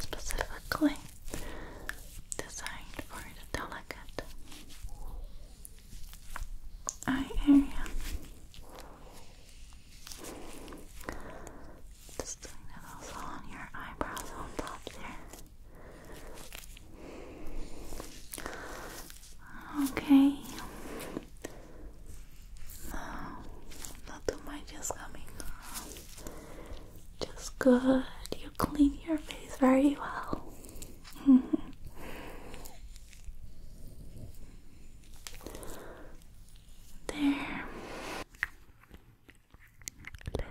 specifically designed for the delicate eye area. Just doing that also on your eyebrows on top there. Okay. Now, not too much is coming Just good. You clean your face very well. There. Let,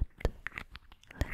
let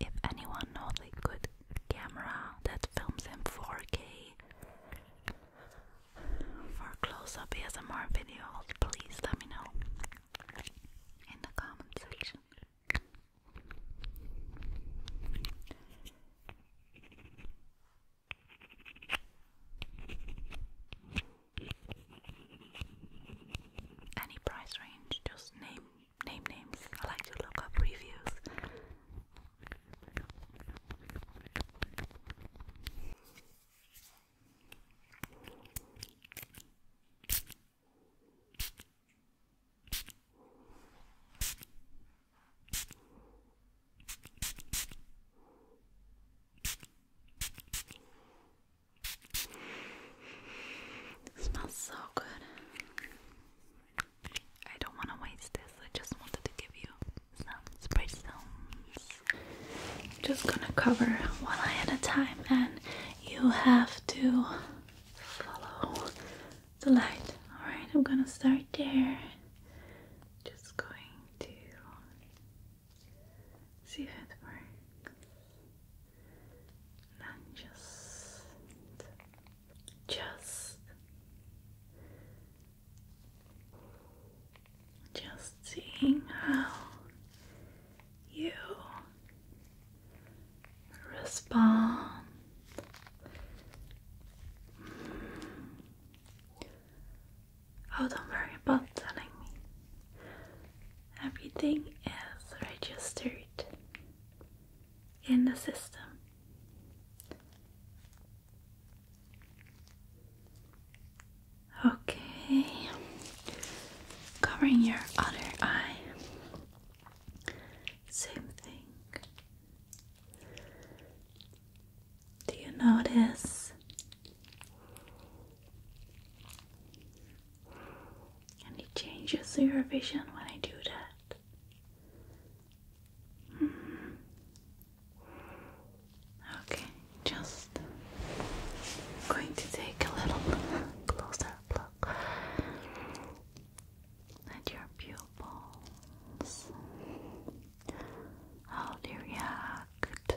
If anyone knows a good camera that films in 4K for close up ASMR videos, please let me know in the comment section. Any price range, just name name names. I like to look up reviews smells so good. I don't want to waste this. I just wanted to give you some spray stones. Just gonna cover one eye at a time, and you have to follow the light. Alright, I'm gonna start there. Just going to see if it works. And just, just, just seeing how you respond. Oh, don't worry about telling me everything is registered in the system. Okay, covering your other eye. Same thing. Do you notice and it changes your vision when I do that. Mm-hmm. Okay, just going to take a little closer look at your pupils. How do you react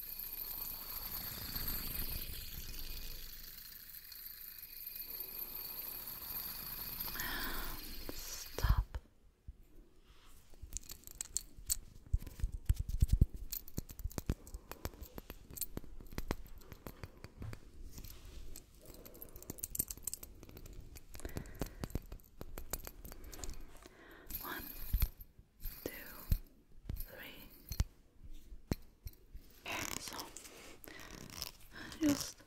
And stop. One, two, three. so just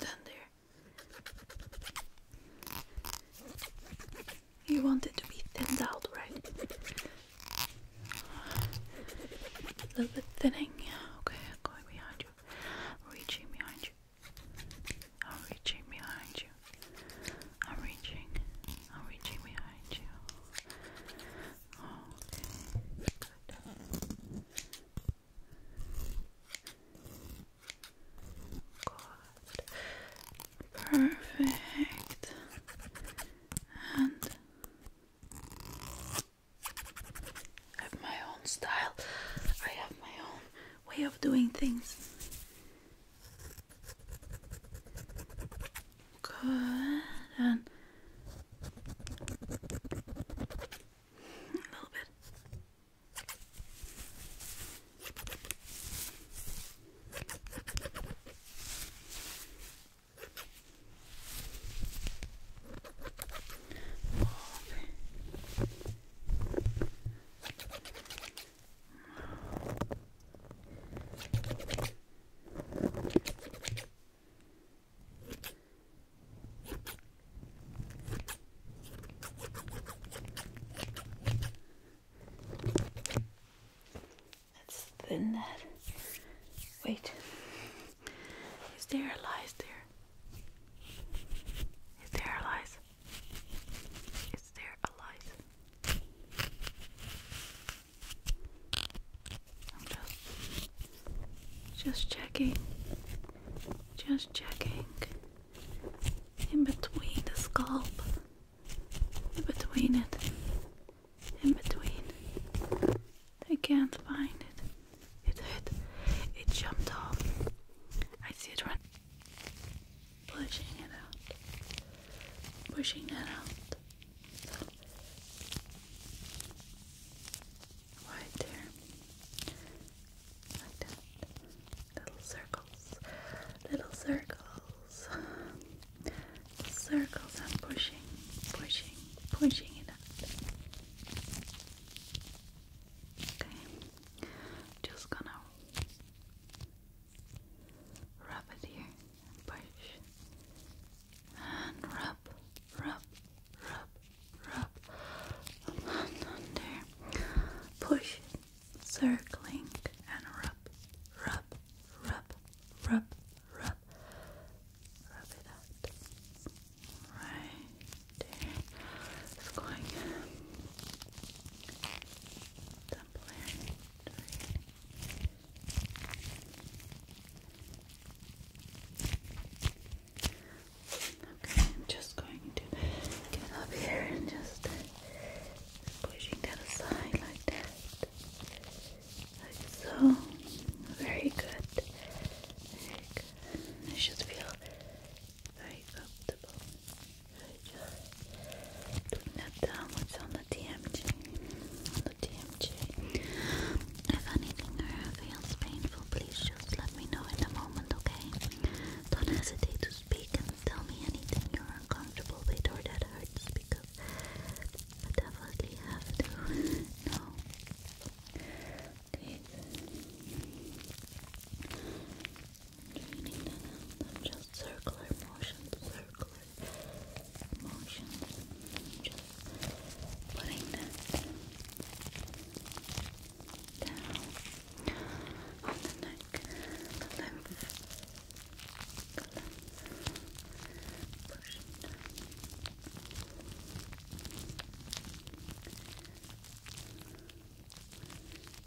down there. You want it to be thinned out, right? A little bit thinning. Okay, going behind you. Reaching behind you. I'm reaching behind you. I'm reaching. I'm reaching behind you. Okay. Good. Perfect. And I have my own style. I have my own way of doing things. Good and a little bit. Okay. Let's thin that. Wait. Is there a lies there? Is there a lies? Is there a light? I'm just just checking. Just checking in between the scalp. In between it. In between. I can't find it. It hit. It jumped off. I see it run pushing it out, pushing that out. So, right there, like that. Little circles, little circles, circles. I'm pushing, pushing, pushing it out. Okay, just gonna Rub it here and push. And rub, rub, rub, rub. under. Push, circling, and rub, rub, rub, rub, rub. Rub it out. Right. Okay, I'm just going to get up here and just pushing that aside like that. Like so. Very good. should feel very comfortable. Just doing that downwards on the TMJ. On the TMJ. If anything feels painful, please just let me know in a moment, okay? Don't hesitate to speak and tell me anything you're uncomfortable with or that hurts because I definitely have to know. draining that out. just circular motions, circular motions. Just putting that down on the neck, the lymph, the lymph, pushing Down,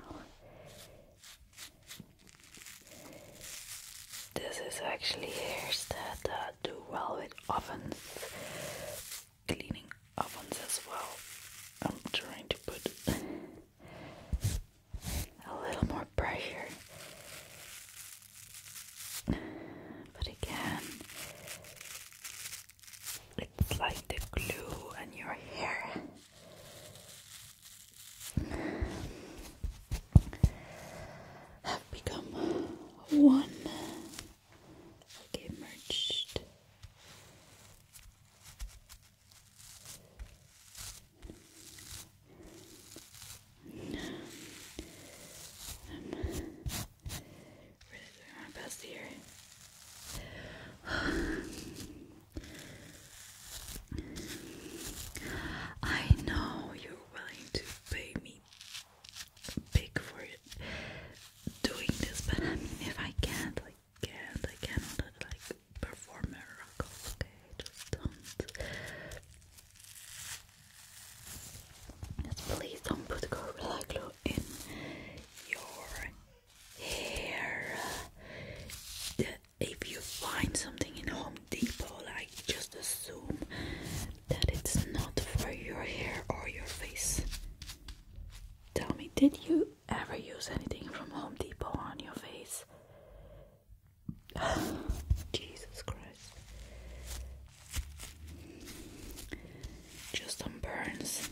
Well, this is actually hairs that uh, do well with ovens, cleaning ovens as well. I'm trying to put a little more pressure. But again, it's like the glue on your hair. Have become one. Okay, merged. I know you're willing to pay me big for it doing this, but if I can't, like, can't, I cannot, like, perform miracles, okay? just don't. Just please don't put Gorilla Glue in your hair. if you find something in Home Depot, I just assume that it's not for your hair or your face. Tell me, did you ever use anything from Home Depot on your face? Jesus Christ. Just some burns.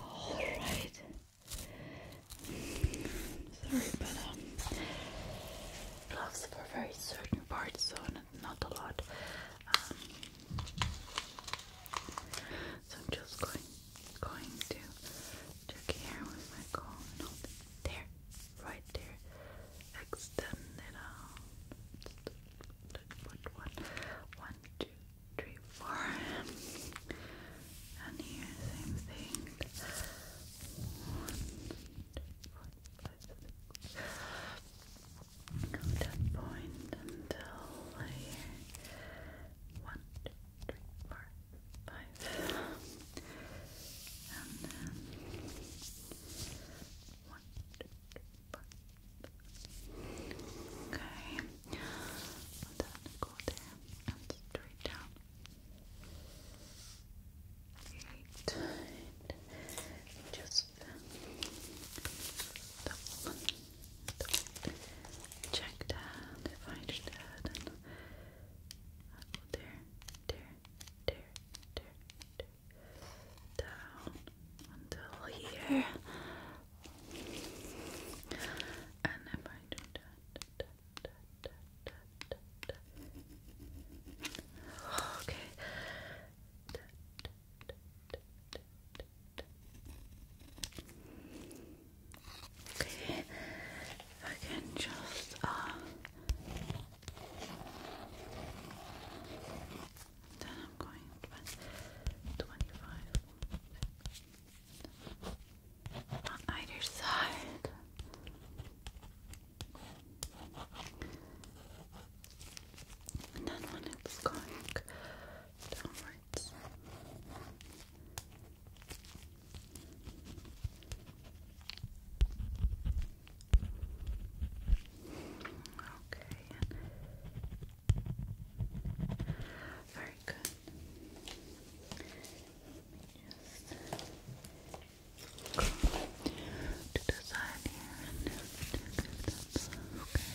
All right. Sorry, um, gloves for very certain parts, so not, a lot. Um, so I'm just going going to check here with my comb There right there. Extend it out. Put And here, same thing. One, two, four, five, six. Go that point until here. One, two, three, four, five. And then one, two, three, four. Okay. And then go there and straight down. just double, double. Check that. If I did and i go there, there, there, there down until here. And if I do that, okay. Okay, I can just uh, then I'm going to 25 on either side. And then when it's going downwards, Okay. Very good. Just go to the side here Okay. Back around there. So, okay.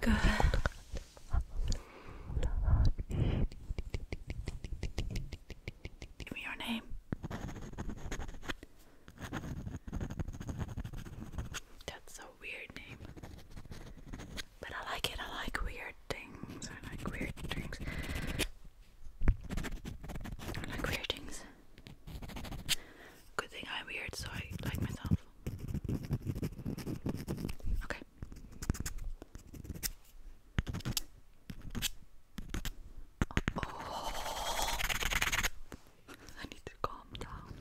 Good. Give me your name. That's a weird name. But I like it. I like weird things. I like weird things. I like weird things. Good thing I'm weird, so I like myself. Okay. Oh. I need to calm down.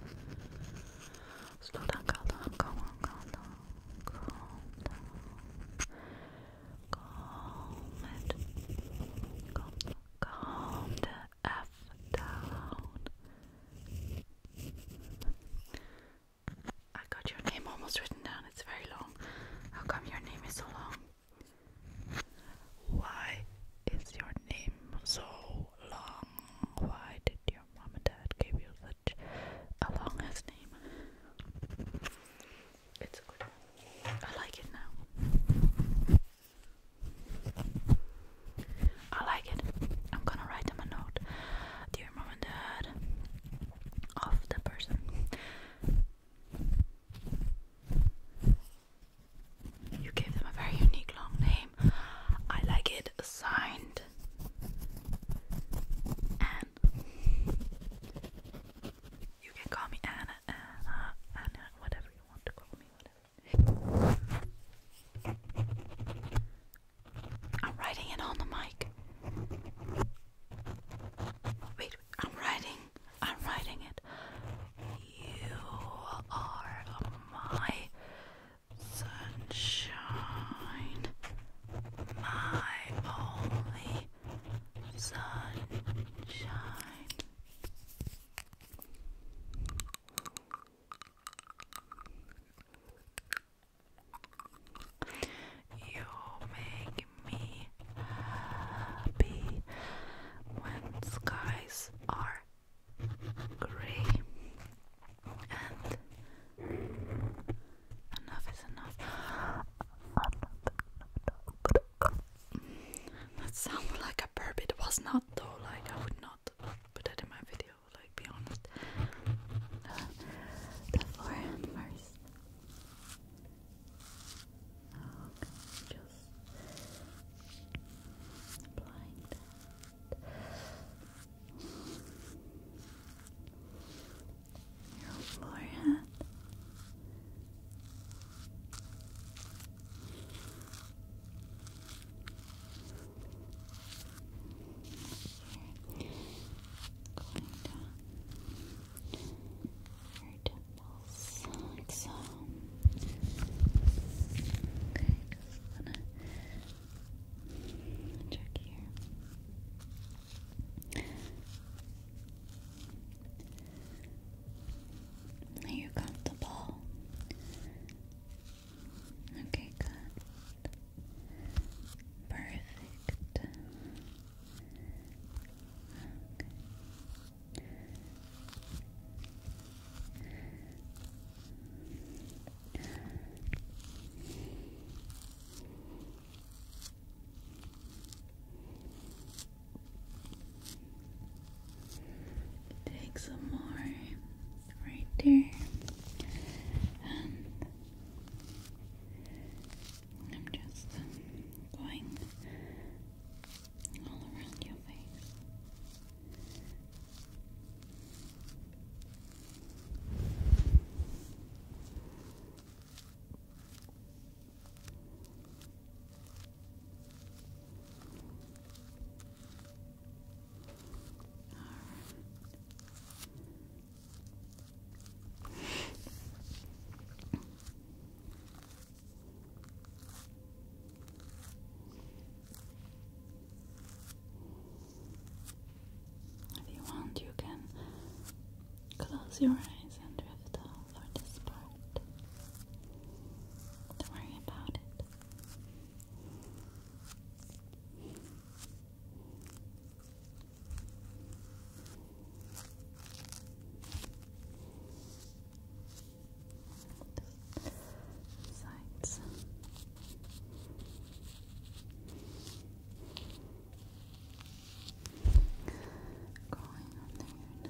Slow down, calm down, calm down, calm down, calm it. calm down. F down. I got your name almost written down, it's very long. How come your name is so long? Why is your name so long? Why did your mom and dad give you such a long name? It's good I like it now. I like it. I'm gonna write them a note. Dear mom and dad of the person. You gave them a very unique long name. I like it. Signed Anne. You can call me Anna, Anna, Anna, whatever you want to call me, whatever. I'm writing it on the mic. Wait, I'm writing. I'm writing it. You are my sunshine, my only sunshine. You make me happy when skies are grey enough is enough. That sounds like a burp. It was not though. Like I would not put that in my video will I be honest? the forehead first. just applying Your forehead. Going down your temples, like so. Okay, just gonna check here. Are you comfortable? Okay, good. Perfect. Take some more right there. I'm just going all around your face. If you want, you can close your eyes and drift off for this part. Don't worry about it. Sides. Going on there now.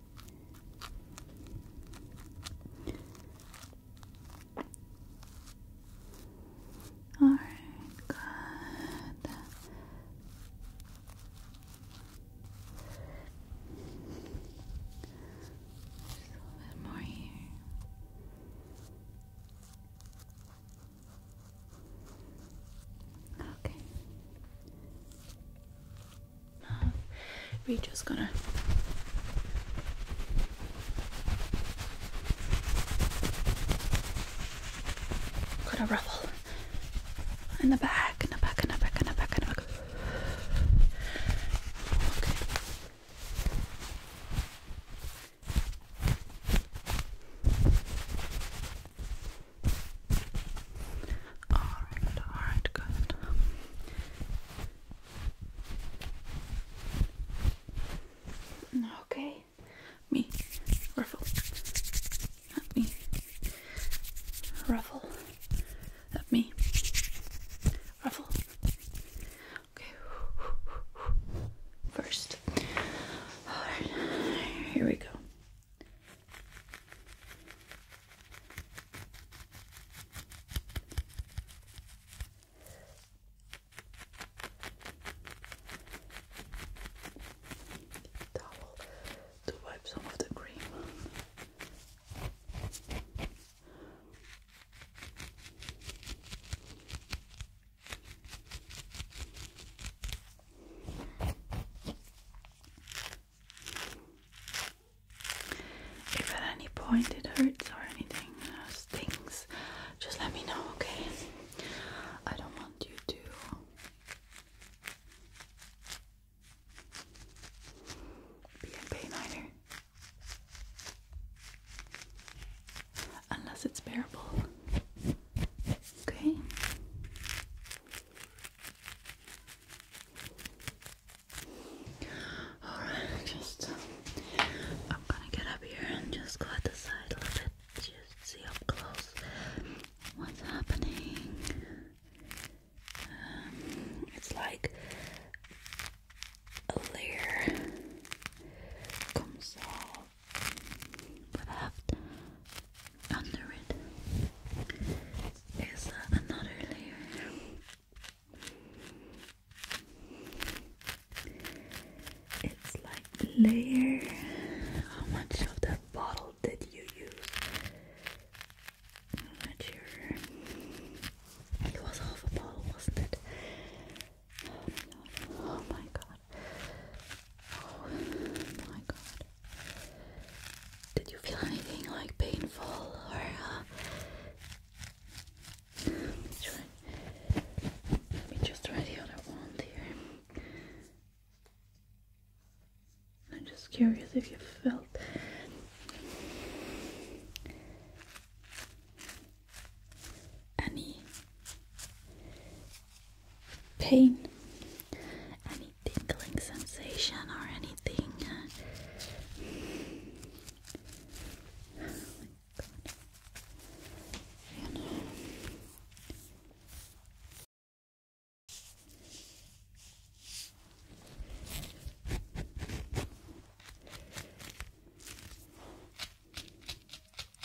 All right, good. Just a little bit more here. Okay we just gonna gonna ruffle in the back, in the back, in the back, in the back, in the back. Okay. Alright, alright, good. Okay, me ruffle. Let me ruffle. Let me ruffle. Okay, first. Alright, here we go. Towel to wipe some of the cream. If at any point it hurts or anything uh, stings, just let me know, okay? I don't want you to be in pain either. Unless it's bearable. Okay? Alright, just I'm gonna get up here and just go at the side a little bit, just see up close what's happening. Um, it's like a layer comes off, but I under it is another layer. It's like layer. How much of that bottle did you use? not sure. It was half a bottle, wasn't it? Oh my god. Oh my god. Did you feel anything like painful or uh, let me just try the other wand here. I'm just curious if you felt any pain, tingling sensation or anything. Uh,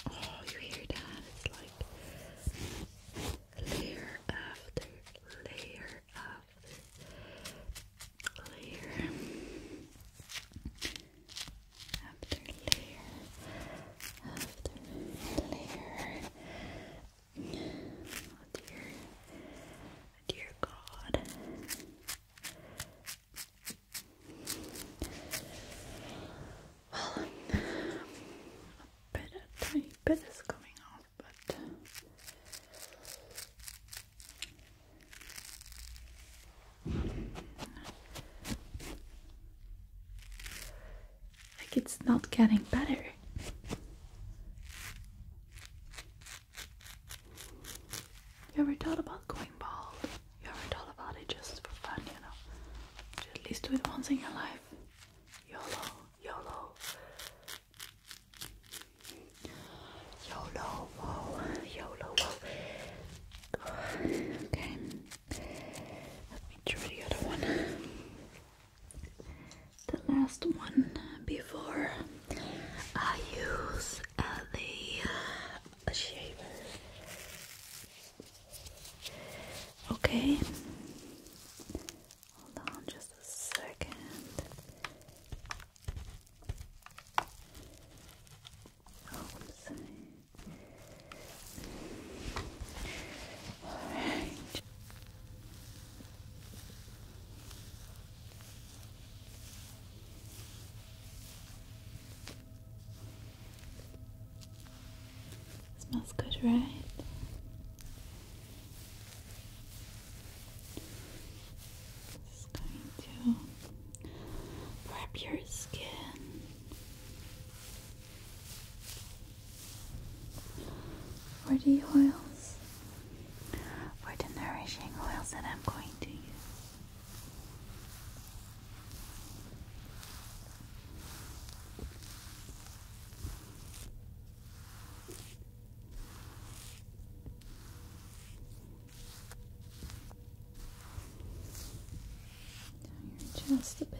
oh, you hear that? It's like layer after layer after layer after layer after layer. Oh dear, dear God. Well, a bit, a bit is coming off but like it's not getting better. You ever thought about going bald? You ever thought about it just for fun, you know? Just at least do it once in your life. YOLO, YOLO. YOLO, whoa, YOLO, whoa. Okay, let me try the other one. The last one before I use the uh, shaver. Okay, Hold on just a second. Alright. Smells good, right? Just going to prep your skin. For the oils, for the nourishing oils that I'm going to use. Just a bit.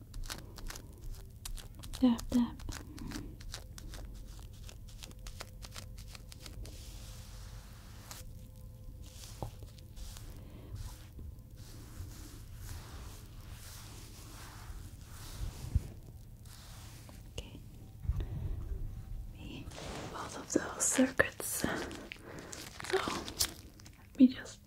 Dab, dab. Okay. Both of those circuits. So let just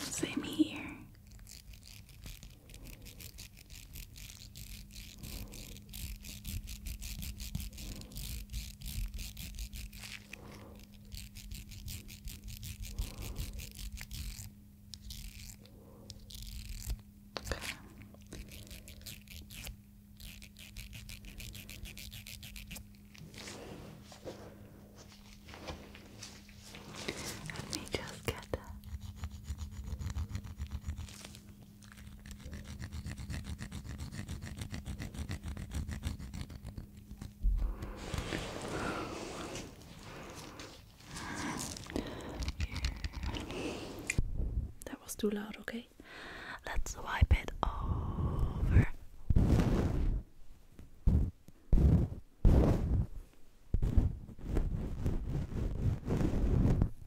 Okay, same here. Let me just get that was too loud, okay? Let's wipe it over.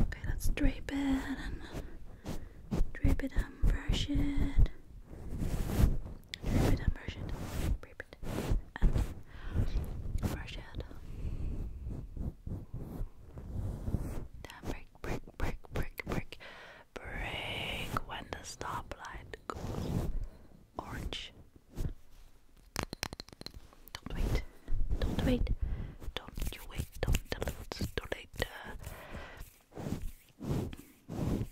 Okay, let's drape it and drape it and brush it. Drape it and brush it. Drape it and brush it. break, break, break, break, break, break when the stoplight goes orange. Don't wait. Don't wait. Don't you wait. Don't tell it's too late. Okay,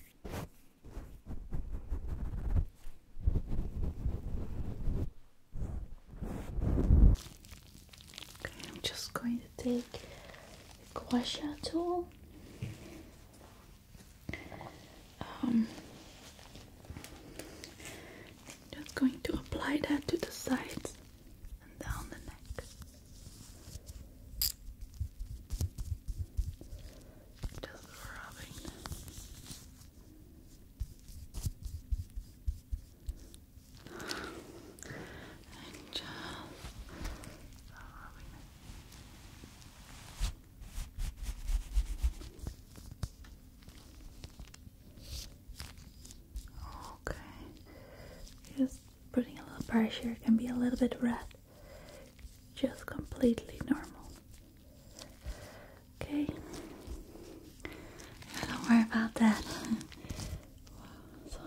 I'm just going to take a gua sha tool um, just going to apply that to the sides and down the neck. Just rubbing. And just rubbing Okay. Just putting a little pressure can be a little bit red. Just completely normal. Okay. don't worry about that. wow,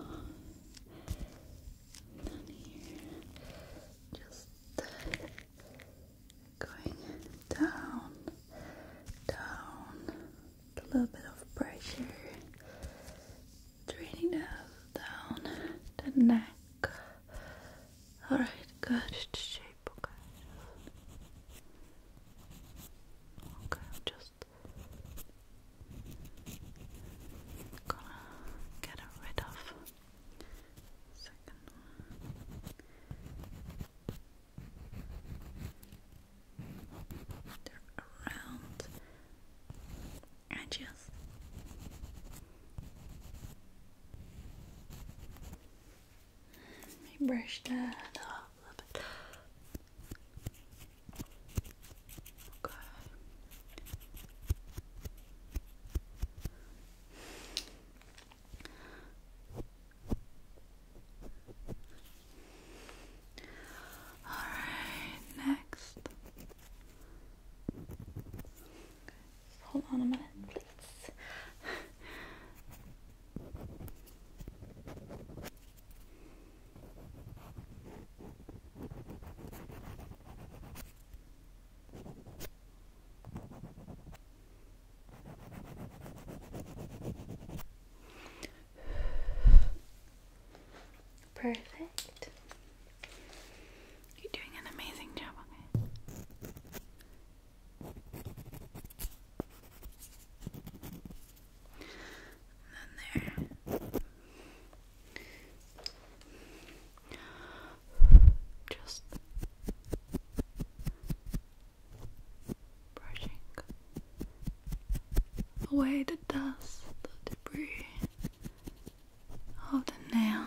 here. Just going down, down, a little bit of pressure, draining that down the neck. Alright, good shape, okay. Okay, I'm just gonna get rid of Second one. They're around edges. Let me brush that off a little bit. Okay. All right, next. hold on a minute, please. Perfect. You're doing an amazing job on then there just brushing away the dust, the debris of the nails.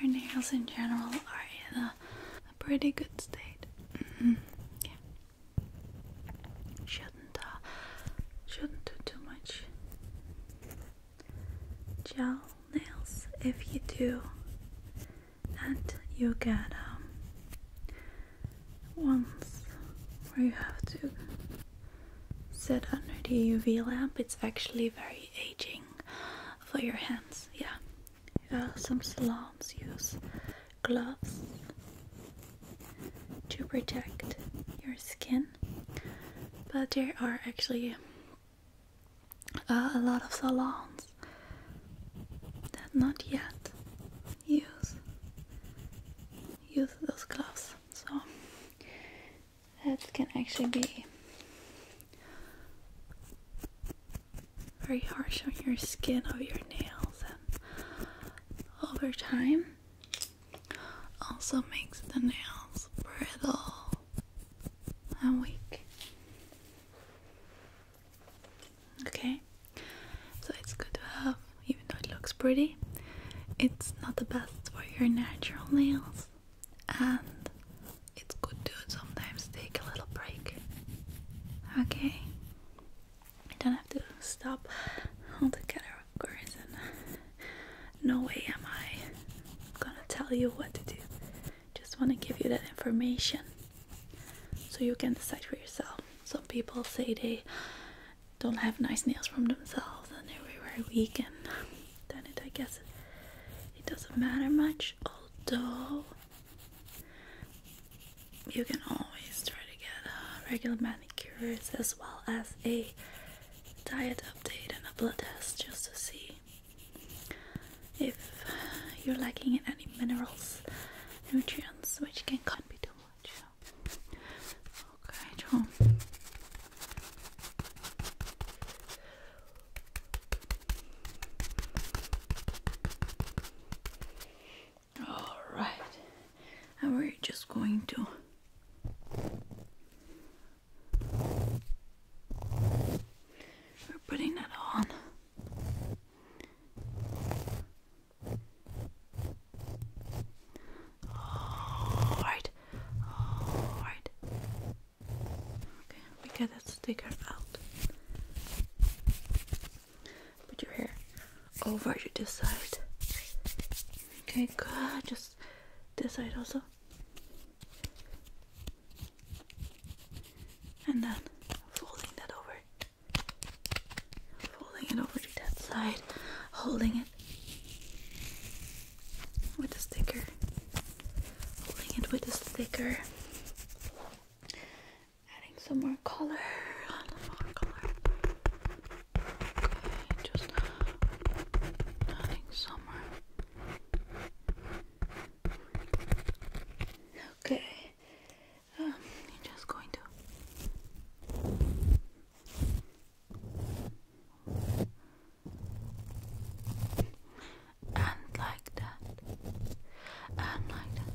Your nails in general are in a, pretty good state. Mm-hmm. yeah. Shouldn't uh, shouldn't do too much gel nails. If you do, and you get um ones where you have to Said under the UV lamp, it's actually very aging for your hands. Yeah, uh, some salons use gloves to protect your skin, but there are actually uh, a lot of salons that not yet use use those gloves. So that can actually be very harsh on your skin or your nails and over time also makes the nails brittle and weak. Okay, so it's good to have, even though it looks pretty, it's not the best for your natural nails and it's good to sometimes take a little break. Okay? I don't have to stop altogether, of course, no way am I gonna tell you what to do. Just wanna give you that information so you can decide for yourself. Some people say they don't have nice nails from themselves and they're very weak and done it. I guess it doesn't matter much, although you can always try to get uh, regular manicures as well as a diet update and a blood test just to see if you're lacking in any minerals, nutrients, which can can't be too much. Okay, John. All right, and we're just going to we're putting that on. All right, all right, Okay, we get that sticker out. Put your hair over to this side. Okay, good. Just this side also. And then folding that over. Folding it over to that side. Holding it with the sticker. Holding it with the sticker. Adding some more color. Some more color. Okay, just adding some more. Okay. Um, just going to and like that, and like that,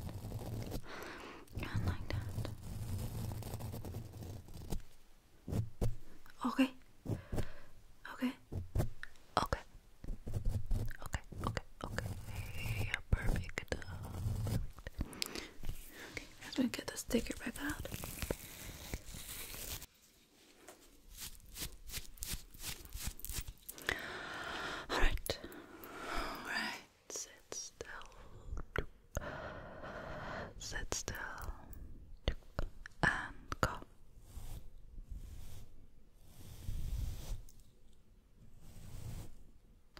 and like that. Okay, okay, okay, okay, okay, okay. Yeah, perfect. perfect. Okay, let's get the sticker back out. All right, all right. Sit still, sit still, and go.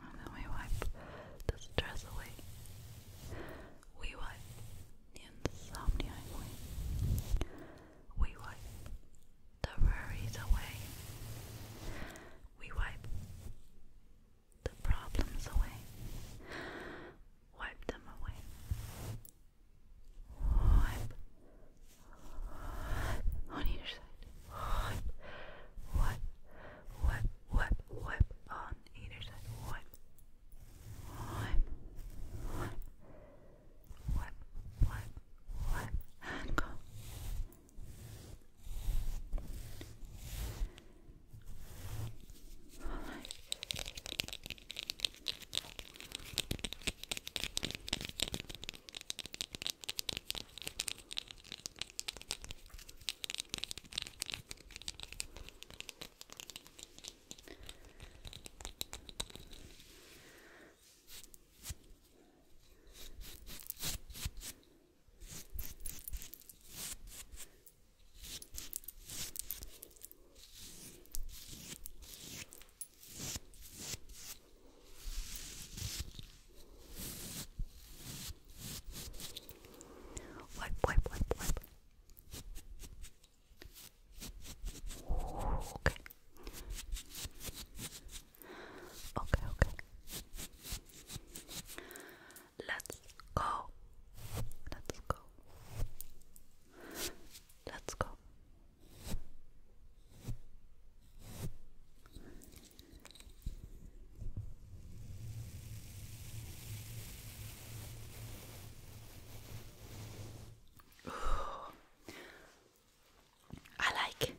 And then we wipe the stress away. We wipe insomnia away. We wipe the worries away. We wipe the problems away. Wipe them away. Wipe. On either side. Wipe. Wipe. Wipe. Wipe. Wipe. On either side. Wipe. Wipe wipe, wipe, wipe, and go Wipe, wipe, wipe, wipe. Okay. Okay, okay. Let's go. Let's go. Let's go. I like.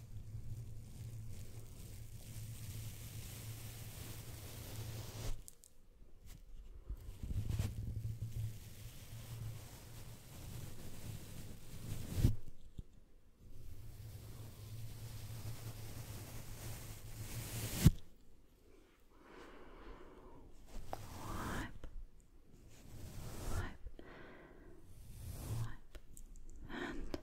Wipe, wipe, and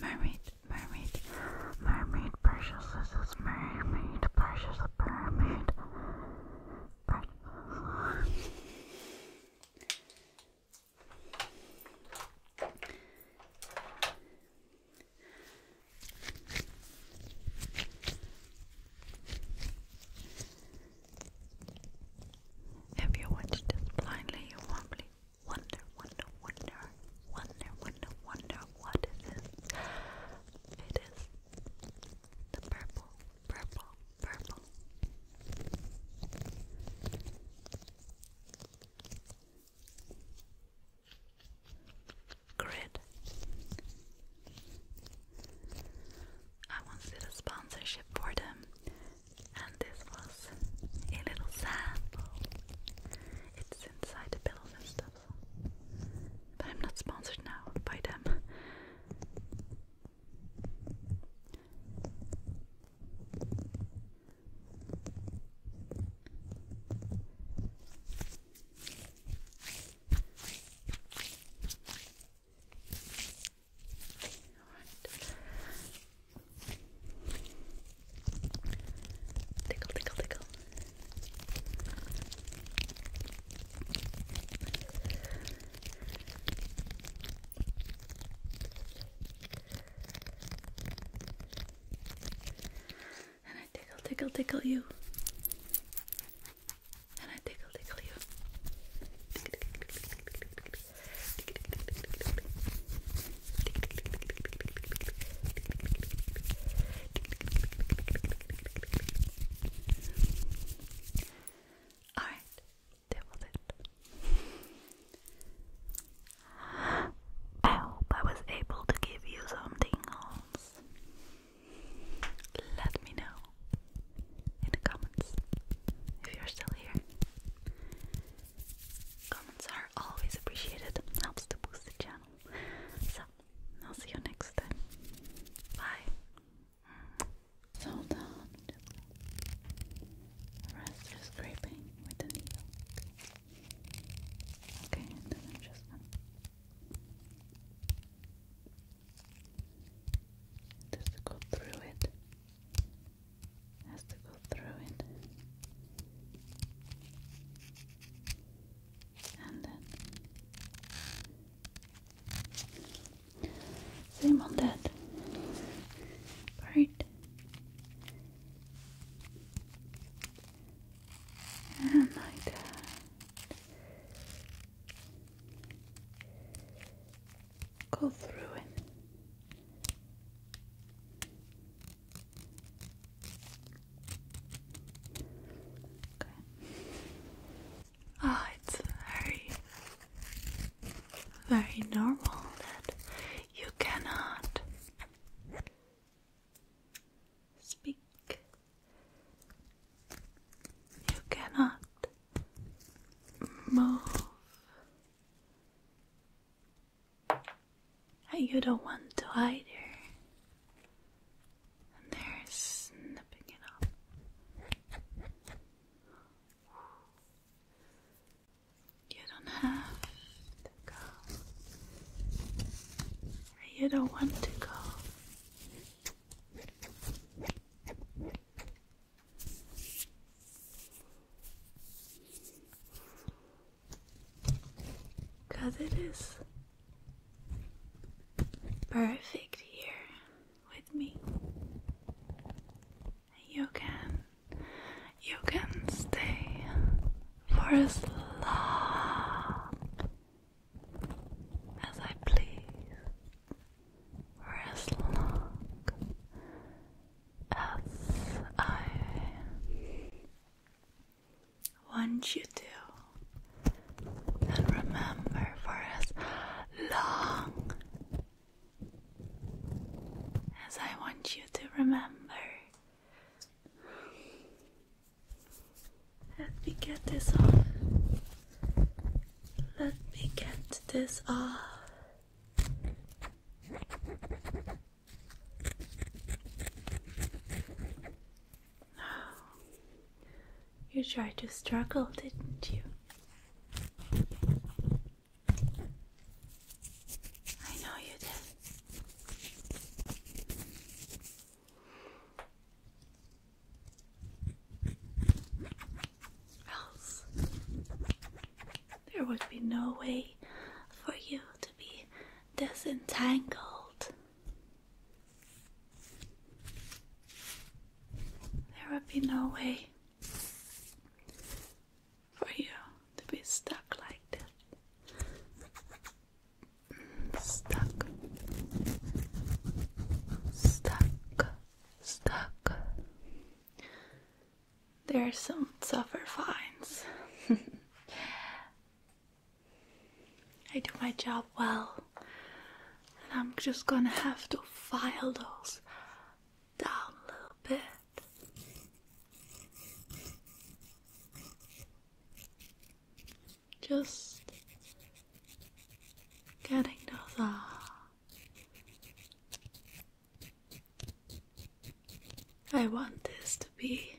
Mermaid, mermaid, mermaid, precious, this is mermaid, precious, mermaid, precious. If you watch this blindly, you probably wonder, wonder, wonder, wonder, wonder, wonder, what is this? It is the purple, purple, purple. Grid I once did a sponsorship for them, and this was a little sample. It's inside the pillows and stuff, but I'm not sponsored now by them. Tickle, tickle, tickle. And I tickle, tickle, tickle you. And I tickle, tickle you. All right, that was it. I hope I was able to give you something else. Let me know in the comments if you're still here. Comments are always appreciated, helps to boost the channel. So, I'll see you next time. Bye. So down, just rest is scraping with the needle. Okay, and then i just go through it has to go through it and then same on that part and like that go through it. Okay. Ah, it's very, very normal that you cannot speak. You cannot move you don't want to either. And they're snipping it up. You don't have to go. you don't want to go. Because it is perfect here with me. You can you can stay for as long as I please, for as long as I want you to. And remember for as long as I want you to remember. Let me get this off. Let me get this off. You tried to struggle, didn't you? I know you did else. There would be no way for you to be disentangled. There would be no way for you to be stuck like that. Stuck. Stuck. Stuck. There are some tougher fines. I do my job well, and I'm just gonna have to file those down a little bit. Just getting those off. Uh, I want this to be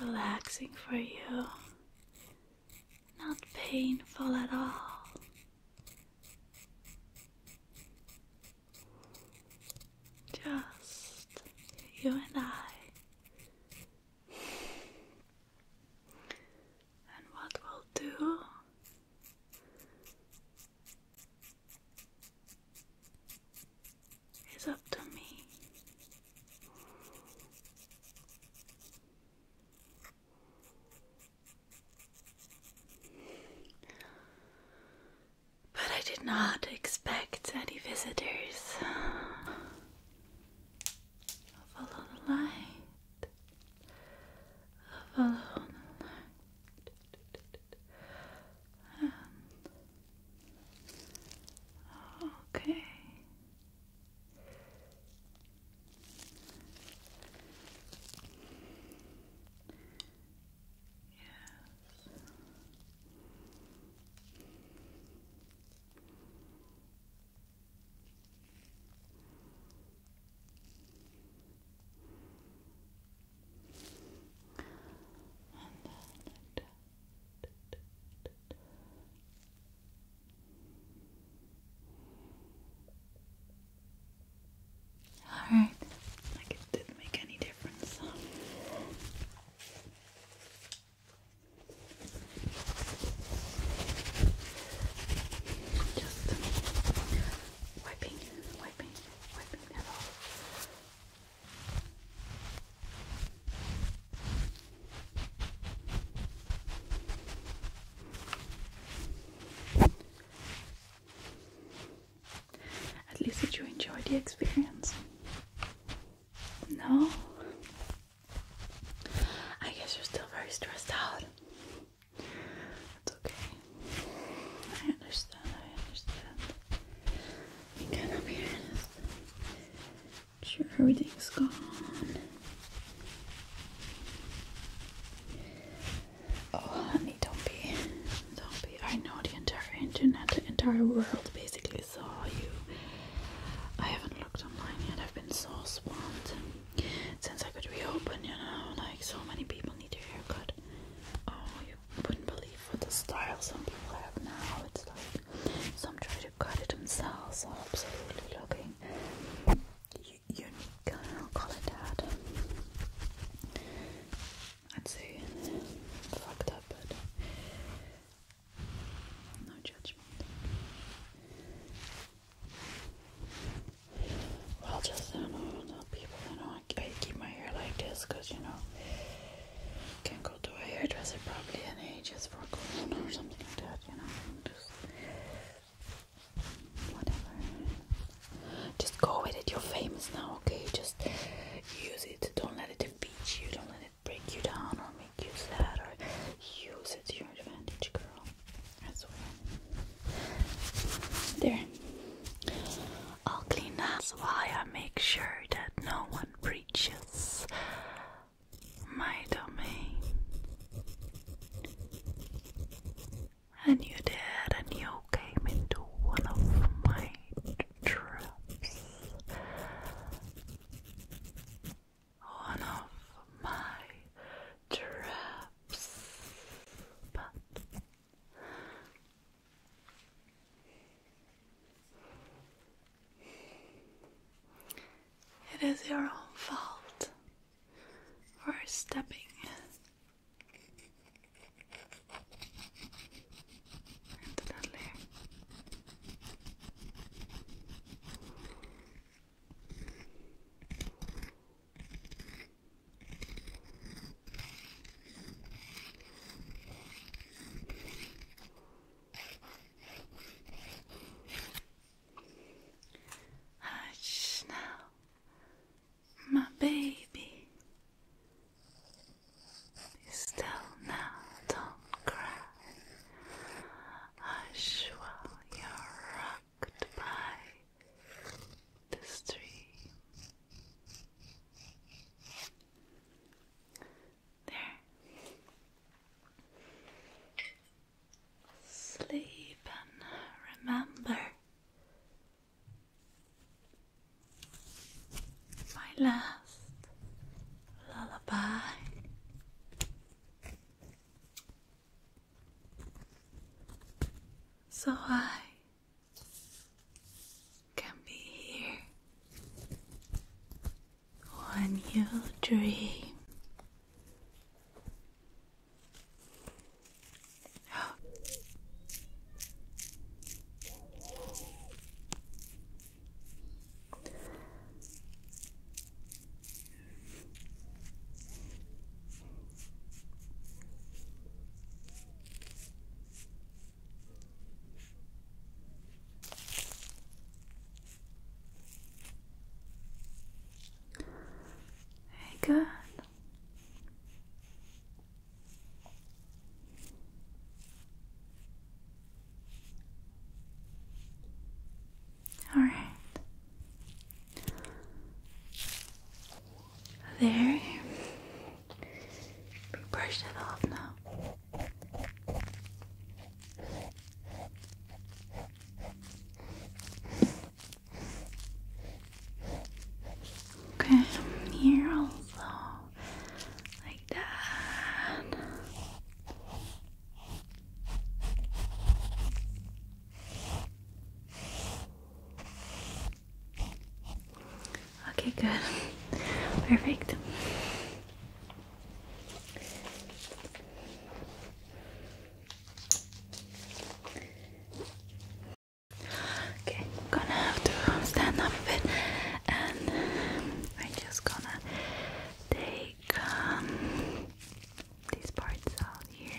relaxing for you, not painful at all. Just you and I. And what we'll do is up to me. But I did not expect any visitors follow the light. follow the light. okay. Yes then all right, like it didn't make any difference. Just wiping, wiping, wiping that off. At least did you enjoyed the experience? No? I guess you're still very stressed out. It's okay. I understand, I understand. You cannot honest. Sure, everything's gone. Oh, honey, don't be. Don't be. I know the entire internet, the entire world basically saw you. I haven't looked online yet. I've been so swamped since I could reopen, you know, like so many people need a haircut. Oh, you wouldn't believe what the style some people have now. It's like some try to cut it themselves. Oh, absolutely looking unique. call it that. I'd say fucked up, but no judgment. Well, just I people, you I, keep my hair like this because, you know, can not go to a hairdresser probably in ages for a cologne or something like that, you know, just whatever. Just go with it, you're famous now, okay? Just use it, don't let it defeat you, don't let it break you down or make you sad or use it to your advantage, girl. There. I'll clean up. That's why I make sure that no one breaches my domain. And you did, and you came into one of my traps. One of my it is your own fault for stepping. Into that layer. Hush now, my baby. Be still now, don't cry. Hush while you're rocked the stream. There. Sleep and remember my last lullaby. So I can be here when you dream very good. All right. There. We brush it off now. Okay, here also, like that. Okay, good. Perfect. Okay, gonna have to stand up a bit and I'm just gonna take um, these parts out here.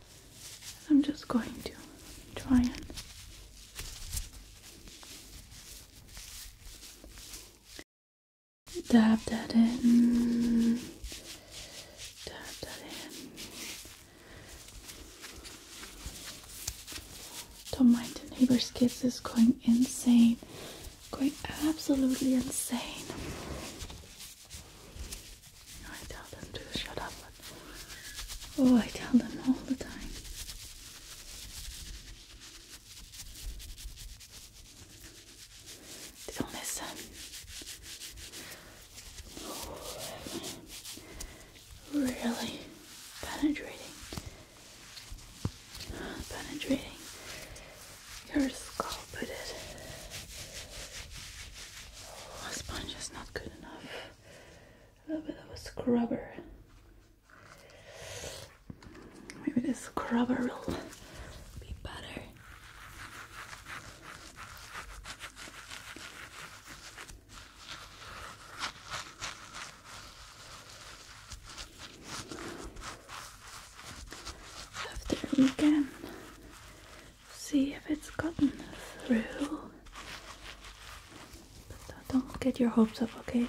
I'm just going to try and dab that in, dab that in. Don't mind the neighbor's kids is going insane, going absolutely insane. I tell them to shut up, oh, I tell them all the time. don't listen. really penetrating, penetrating your skull, but it. Oh, sponge is not good enough a little bit of a scrubber. Maybe this scrubber will be better. After we can see if it's gotten through. But don't get your hopes up, okay?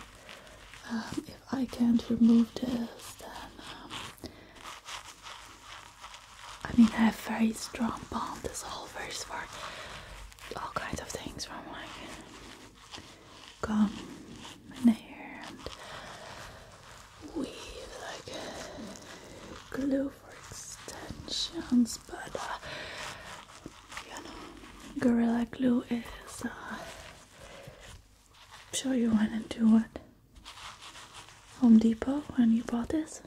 Um, if I can't remove this, then um, I mean, I have very strong bond dissolvers for all kinds of things from like gum and hair and weave, like glue for extensions, but uh, you know, Gorilla Glue is. Uh, sure you went into what? Home Depot when you bought this?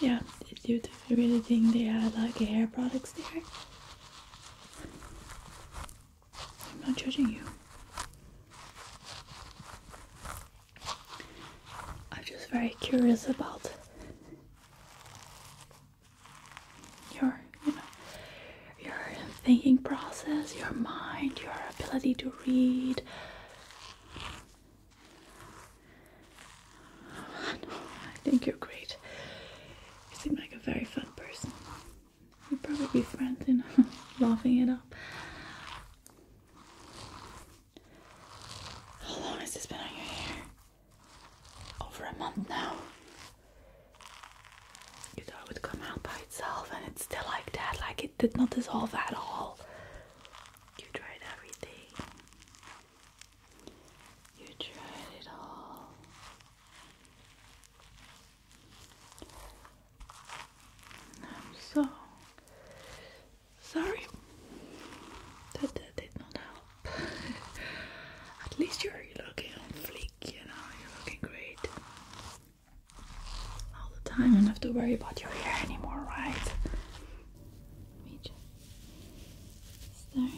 Yeah, did you really think they had like hair products there? I'm not judging you. I'm just very curious about your you know your thinking process, your mind, your ability to read. I think you're great. You seem like a very fun person. you would probably be friends, you know, laughing it up. How long has this been on your hair? Over a month now. You thought it would come out by itself, and it's still like that, like it did not dissolve at all. You tried everything. You tried it all. I'm so Sorry, that, that did not help. At least you're looking on fleek, you know, you're looking great all the time. You don't have to worry about your hair anymore, right? me just start.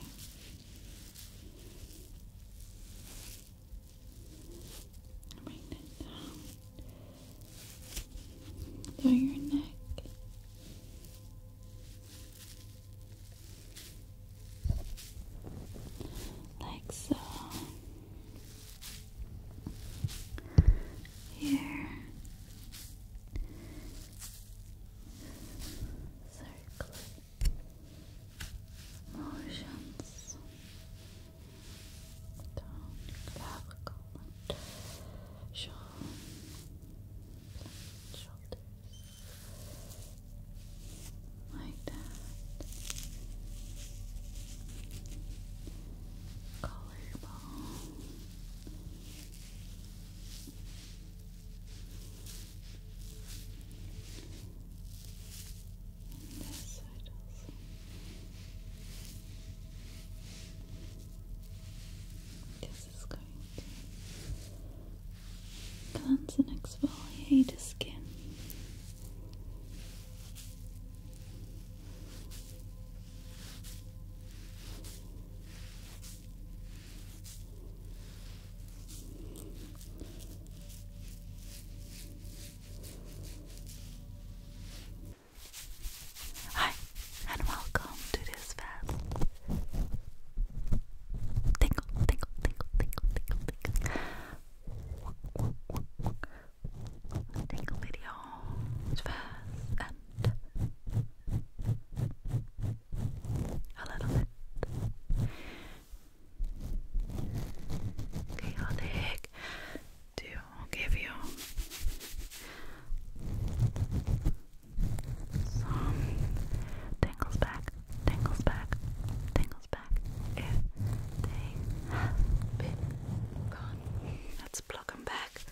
Bring that down. Down your neck like so. Here, circle motions down clavicle and shoulder shoulders like collarbone and this side this and exfoliate the skin. Hi, and welcome to this fast. Tingle, tingle, tingle, tingle, tingle, tingle. Tingle video. It's fast and a little bit. Chaotic to give you song tingles back, tingles back, tingles back if they have gone. Let's pluck back.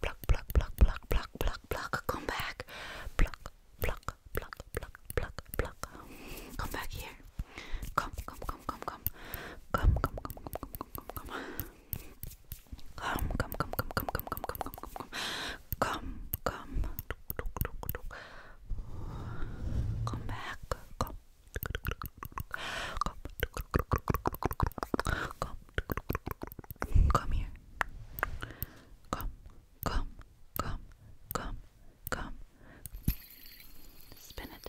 Pluck, pluck, pluck, pluck, pluck, pluck, pluck, come back. Pluck, pluck, pluck, pluck, pluck, pluck. Come back here. come, come, come. Come, come, come, come, come, come, come, come. Come, come, come, come, come, come, come, come, come, come, come, come, come back, come, come, come, come here, come, come, come, come, come, spin it,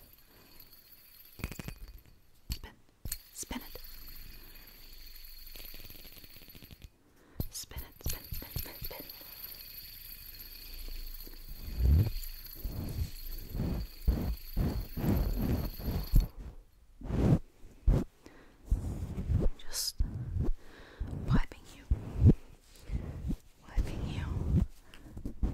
spin. Spin it. Spin it, spin, spin, spin, spin. Just wiping you, wiping you,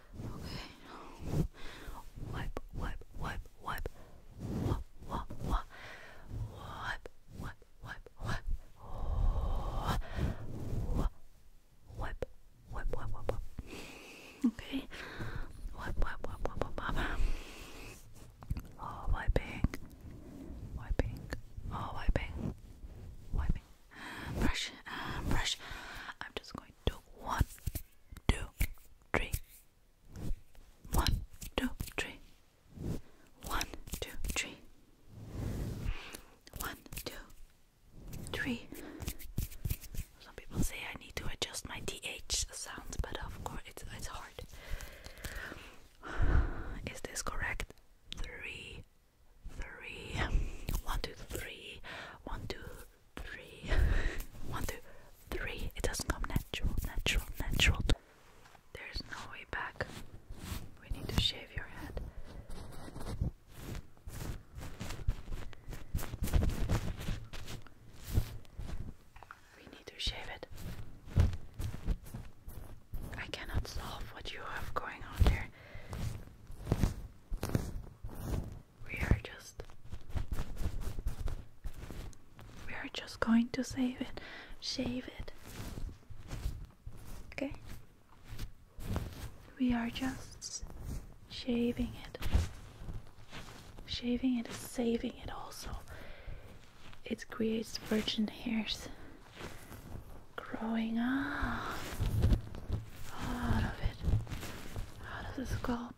Okay. Wipe, wipe, wipe, wipe. Wop, wop, wop. Wipe, wipe, wipe, wipe. Wop. Wipe, wipe, wipe, wipe, wipe. Okay. Wipe, wipe, wipe, wipe, wipe, wipe. Oh, wiping. Wiping. Oh, wiping. Wiping brush uh, brush. I'm just going to one, two, three. One, two, three. One, two, three. One, two, three. Some people say I need to adjust my th sounds, but of course it's it's hard. Is this correct? Three, three, one, two, three, one, two, three, one, two, three. It doesn't come natural, natural, natural. There's no way back. We need to shave your head. We need to shave it. I cannot solve what you have going on there. We are just We are just going to save it. Shave it. Okay? We are just shaving it. Shaving it is saving it also. It creates virgin hairs growing up out of it, out of the scalp.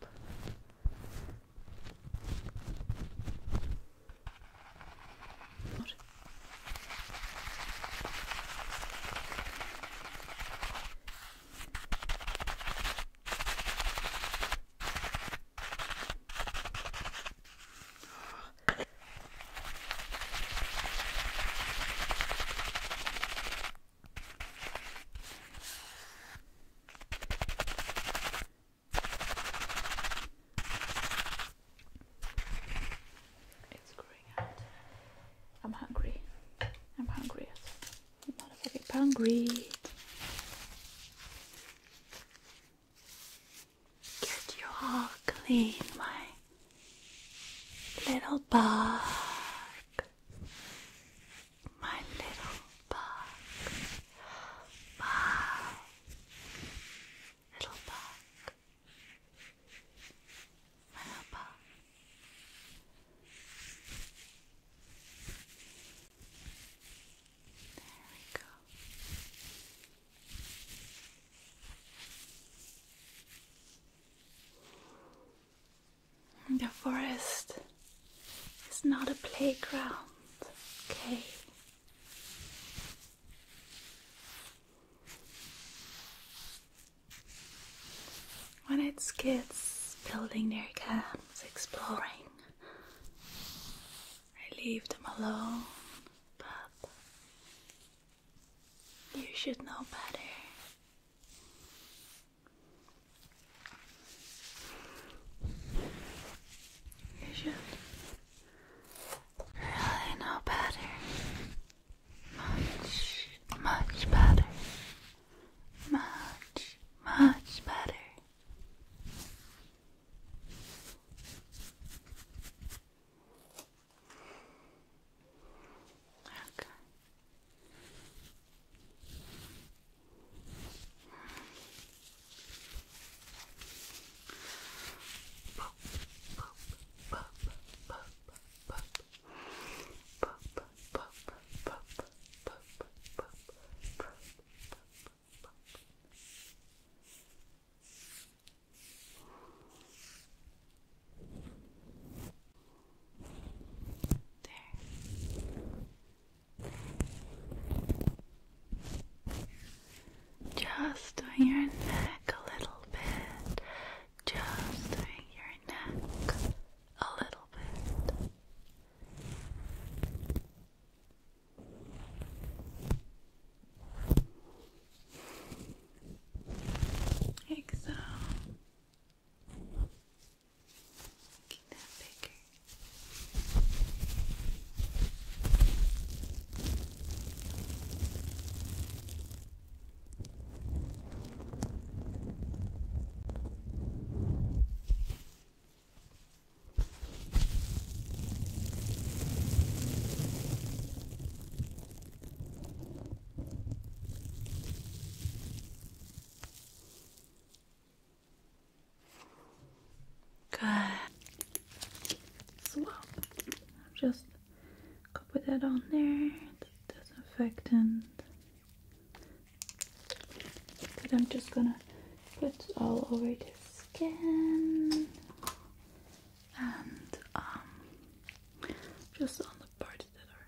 It's growing out. I'm hungry. I'm hungry. I'm motherfucking hungry. Get your heart clean, my Little bug, my little bug, wow, little bug, little bug. There we go. The forest is not a playground, okay? When it's kids building their camps, exploring, I leave them alone, but you should know better. You should really know better. Much, much better. Much, much better. Okay. Pop, pop, pop, pop, pop, pop, pop, pop, pop, pop, pop, pop. There. Just doing your neck a little bit. Just doing your neck a little bit. Like Making that bigger. Good. Good. Swap. Just go put that on there. Disinfectant. But I'm just gonna put all over the skin and um just on the parts that are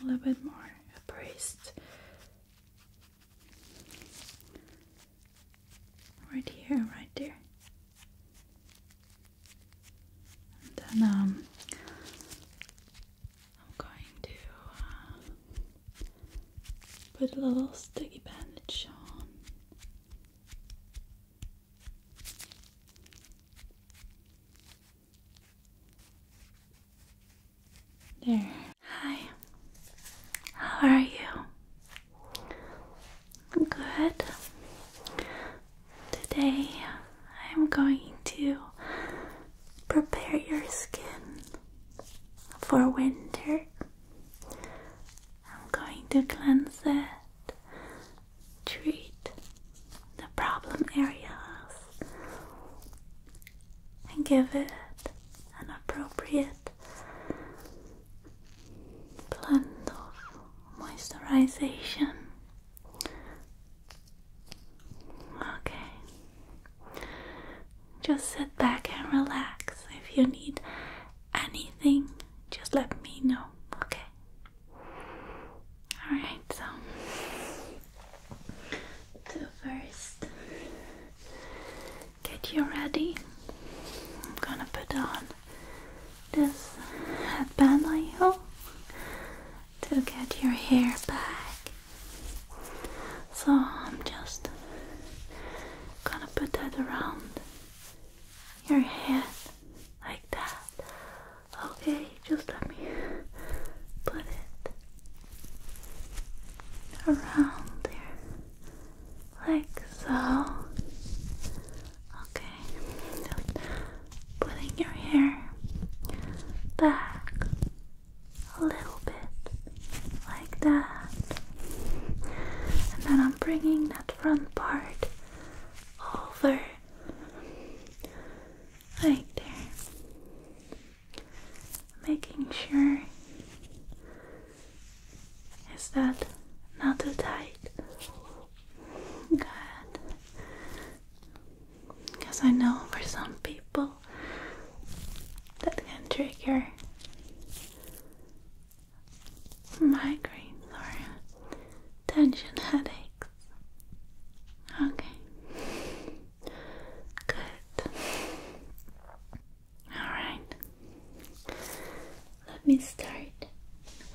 a little bit more braced right here, right there. then um, I'm going to uh, put a little sticky bandage on there. Hi. How are you? Good. Today I'm going to prepare your skin for winter. I'm going to cleanse it, treat the problem areas, and give it an appropriate blend of moisturization. Okay, just sit back and relax. If you need anything, just let me know, okay? Alright, so to first get you ready. I'm gonna put on this headband I hope, to get your hair back. So I'm just gonna put that around your hair, like that. Okay, just let me put it around there, like so. Okay, just putting your hair back a little bit, like that. And then I'm bringing that front part over right there, making sure is that not too tight. Good, because I know for some people that can trigger migraines tension headaches. Okay. Good. Alright. Let me start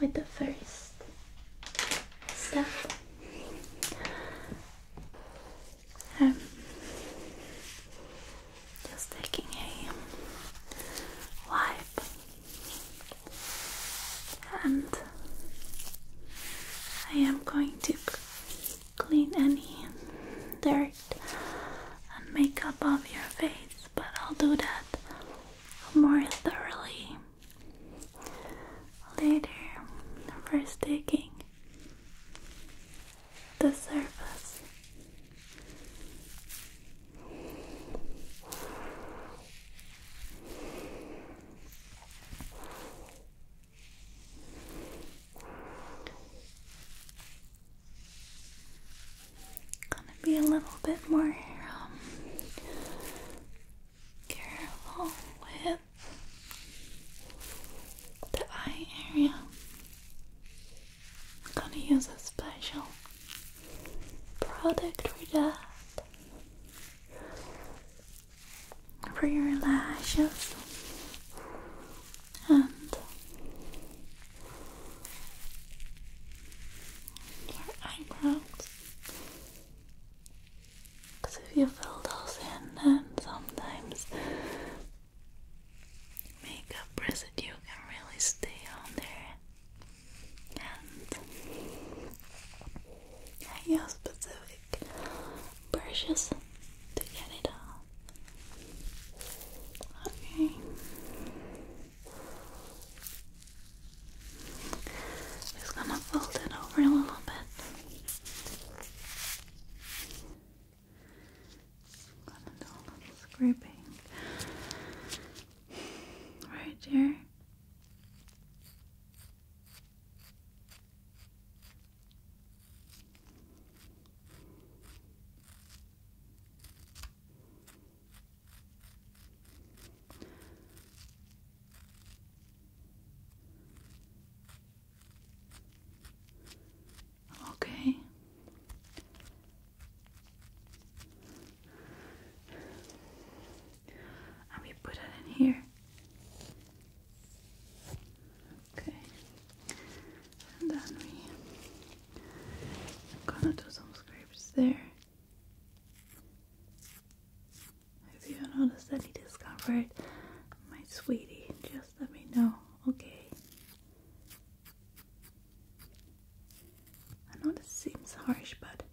with the first step. Um, just taking a wipe and I am going to clean any dirt and makeup off your face, but I'll do that more thoroughly later. First, taking the surface Gonna be a little bit more um, careful with the eye area. I'm gonna use a special product for that for your lashes and your eyebrows because if you fill those in then sometimes makeup residue can really stay on there and your specific brushes to get it all. Okay. Just gonna fold it over a little bit. gonna do a little scraping right here. Okay and we put it in here. Okay, and then we I'm gonna do some scrapes there. If you notice any discomfort, my sweetie, just let me know. Okay. I know this seems harsh, but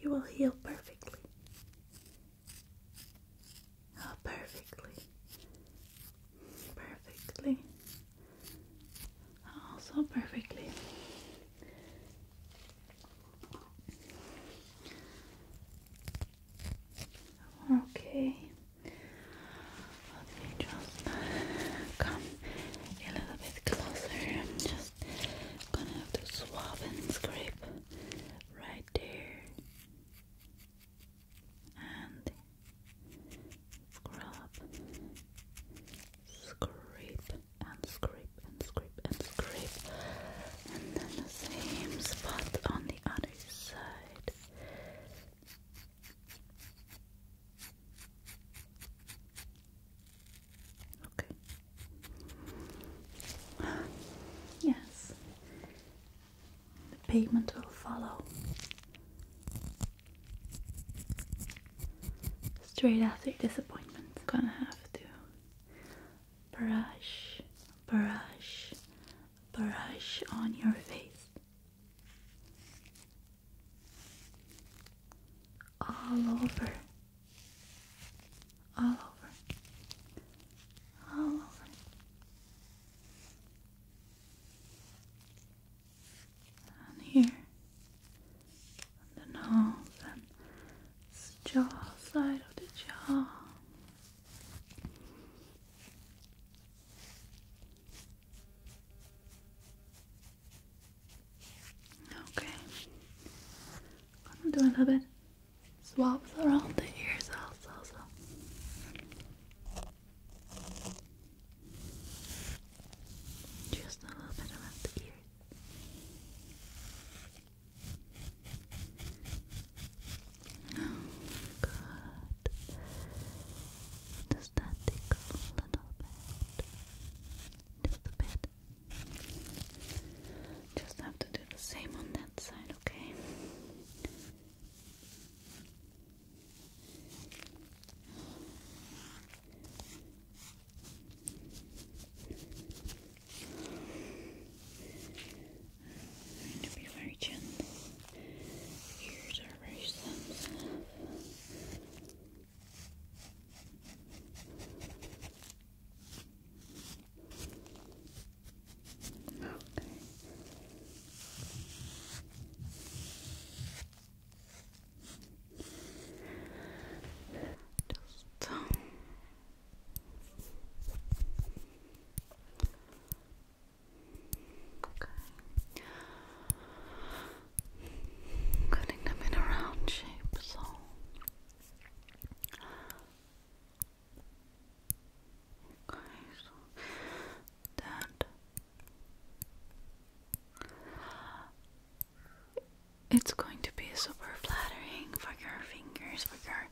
you will heal perfectly. Oh, perfectly. Perfectly. Oh, so perfectly. Okay. Let just come a little bit closer. I'm just gonna have to swab and scrape right there and scrub, scrape and scrape and scrape and scrape, and then the same spot on the other side. Okay. Yes. The pavement will follow. Straight after disappointment. Gonna have to brush, brush, brush on your face all over, all over, all over. And here, the nose and the jaw side of the jaw. Okay. I'm doing to a bit swabs around the ears also. Just a little bit around the ears. good. Does that tickle a little bit? Just a bit. Just have to do the same on that side, okay? I'm going to be very gentle. The ears are very Okay. Just okay cutting them in a round shape, so okay, that it's going to be super flattering for your fingers, for your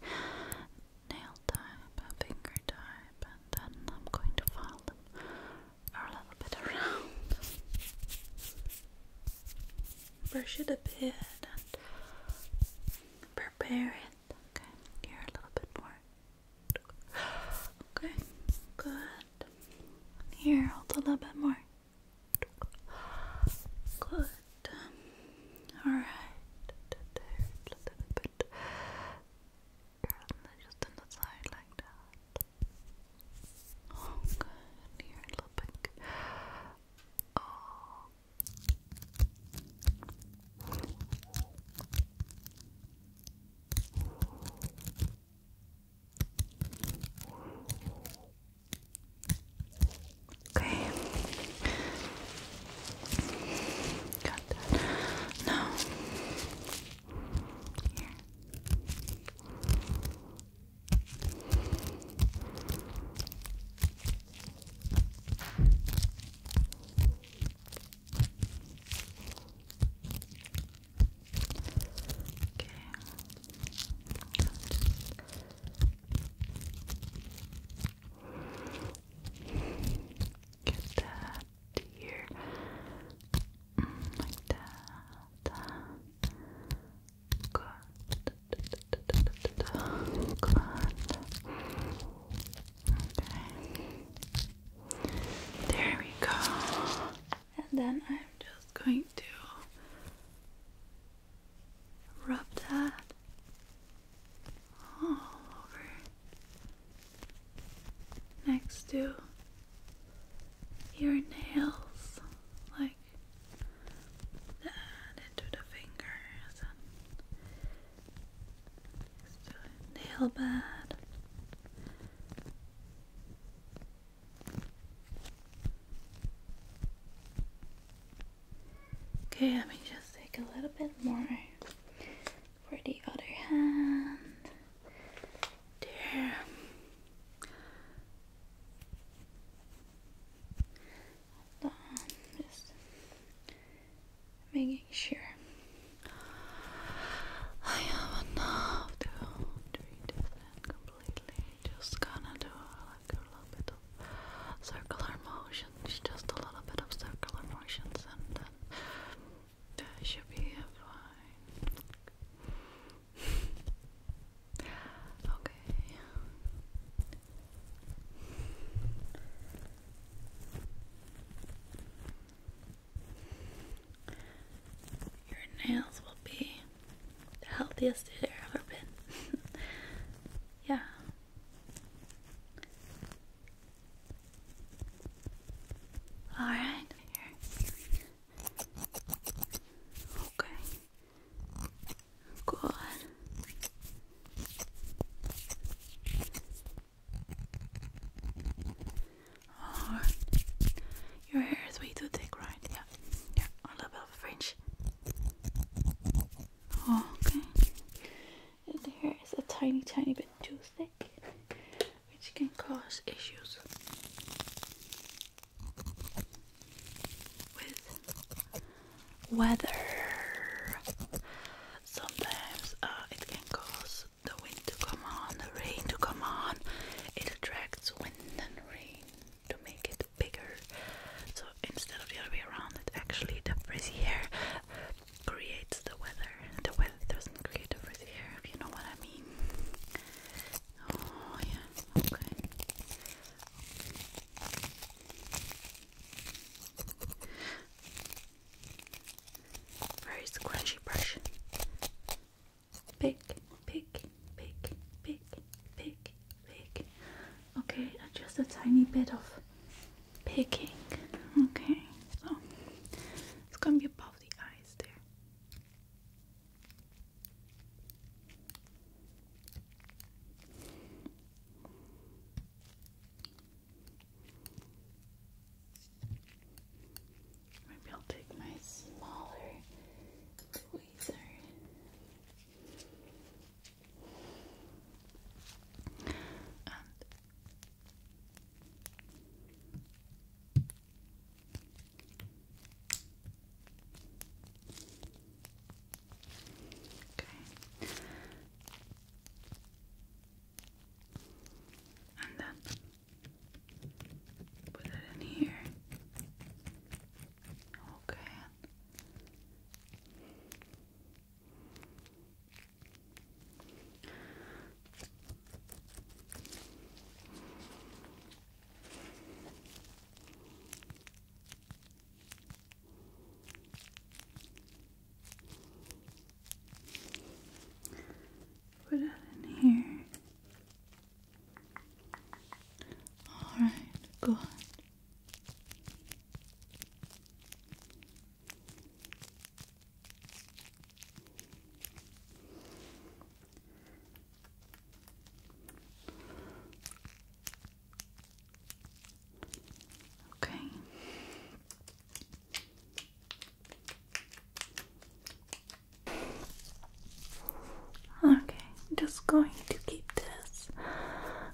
nail type, finger type, and then I'm going to file them a little bit around. Brush it a bit and prepare it. Okay, here a little bit more. Okay, good. Here, hold a little bit more. Good. Alright. Just on the side like that. Oh, good. Here, a little Okay. Got that. Now, here. Get that here, mm, like that. There we go. And then I'm just going to rub that all over next to your nails like and into the fingers and nail bed. Okay, let me just take a little bit more for the other hand there. Hold just making sure I have enough to treat completely. Just gonna do like a little circular motions, just a little bit of circular motions, and then that should be fine okay. Your nails will be the healthiest they've ever been. yeah. All right. Okay. God. Oh, your hair is way too thick, right? Yeah, yeah, a little bit of fringe. Oh, okay. And hair is a tiny, tiny bit too thick, which can cause issues with weather. Sometimes uh, it can cause the wind to come on, the rain to come on. It attracts wind and rain to make it bigger. So instead of the other way around, it actually the frizzy hair creates the weather. The weather doesn't create the frizzy hair, if you know what I mean. Oh, yeah, okay. Where is the brush? Pick, pick, pick, pick, pick, pick. Okay, just a tiny bit of picking. Okay, so it's gonna be above the eyes there. Maybe I'll take my smaller tweezer. Okay. And then put it in here. Okay. Put it in here. All right, good. Okay. Okay, I'm just going to keep this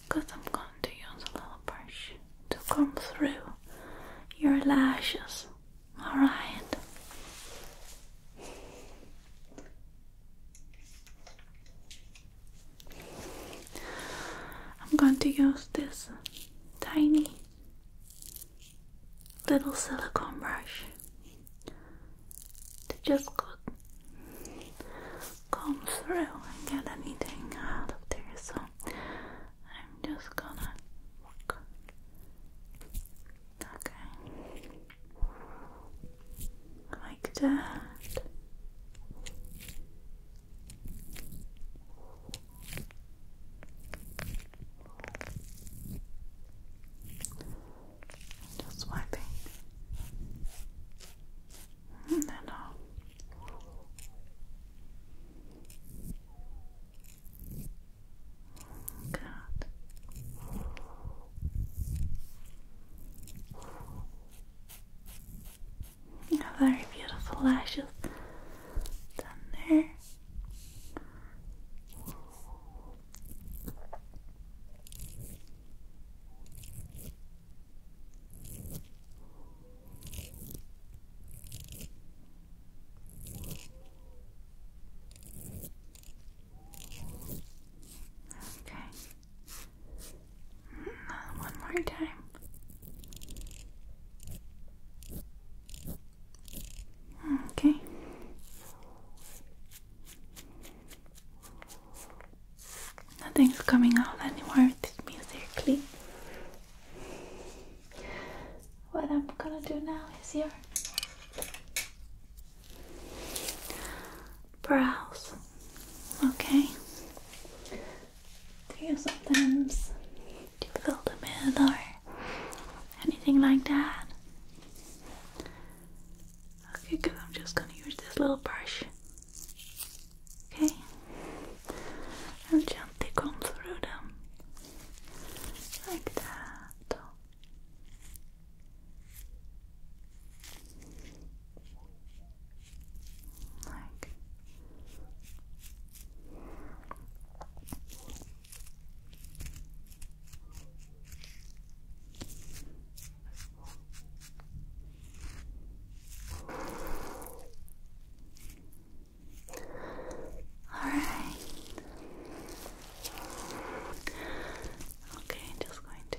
because I'm going to use a little brush to come through your lashes. All right. I'm going to use this tiny little silicone brush to just go through and get anything out of there. So I'm just gonna Okay like that. Just wiping and hmm, then off. Good. You Very beautiful lashes down there. Okay. One more time. Okay. Nothing's coming out anymore with this music. What I'm gonna do now is your brows. Okay. Do you sometimes fill the mid or anything like that? Okay, because I'm just gonna use this little brush. Okay. And gently comb through them like that. Like all right. Okay, just going to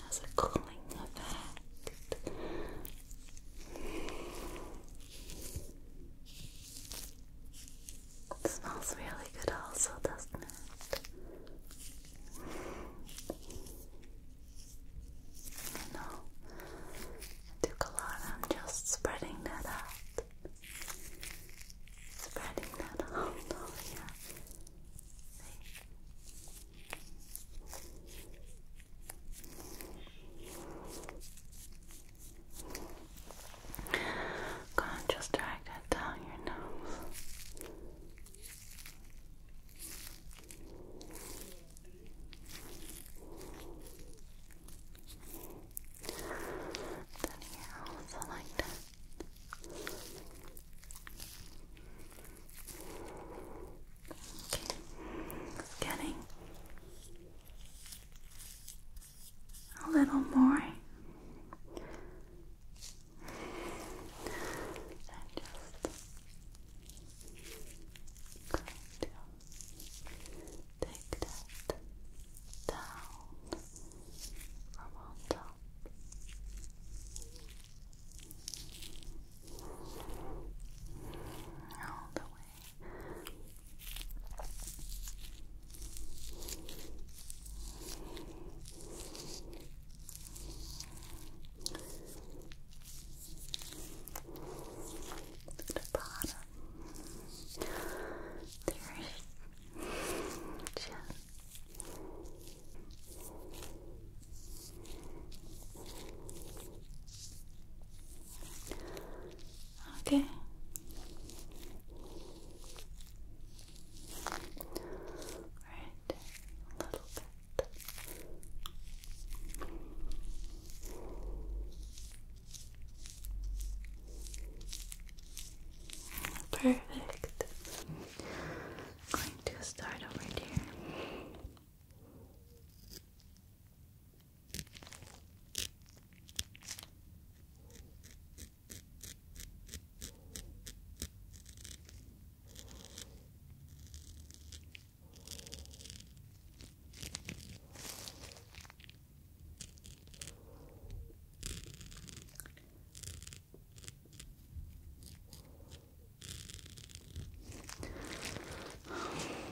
There's a cooling effect. It smells really good, also, doesn't it? I know took a lot. I'm just spreading that out. Spreading that out. Oh, yeah. Go on, just drag that down your nose. Then here also like that. Getting a little more. And take that down from on top. All the way to the bottom. There's just Okay. Right, a little bit. Perfect. I'm going to start over here.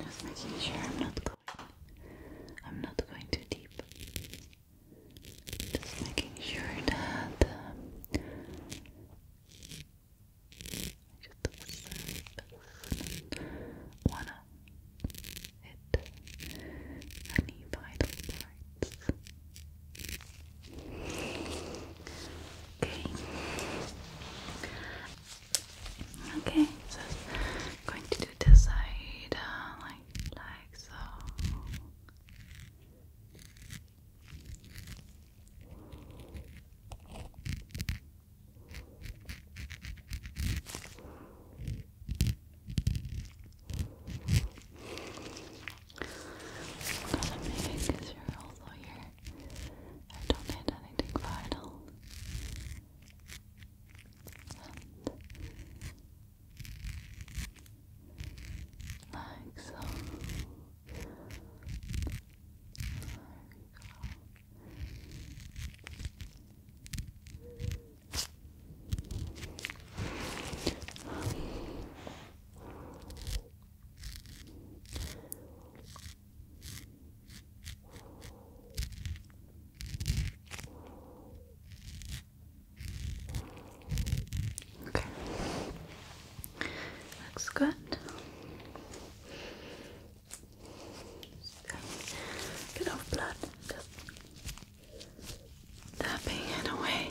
Just making sure I'm not going I'm not going too deep. Just making sure that um, just wanna hit any vital parts. Okay. Okay, so going to do this side uh, like like so. What I'm making is you're also here. I don't need anything vital. like so. There we go. Okay. Looks good. Get off blood tapping it away.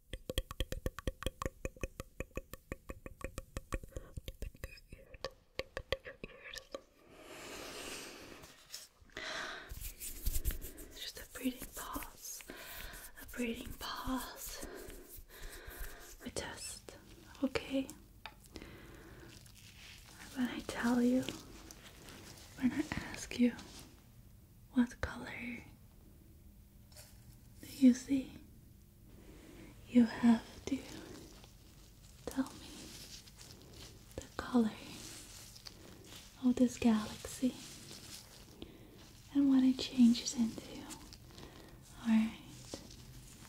Just a breathing pause, a breathing pause. We test, okay? When I tell you, when I ask you, what color do you see? You have to tell me the color of this galaxy and what it changes into. Alright,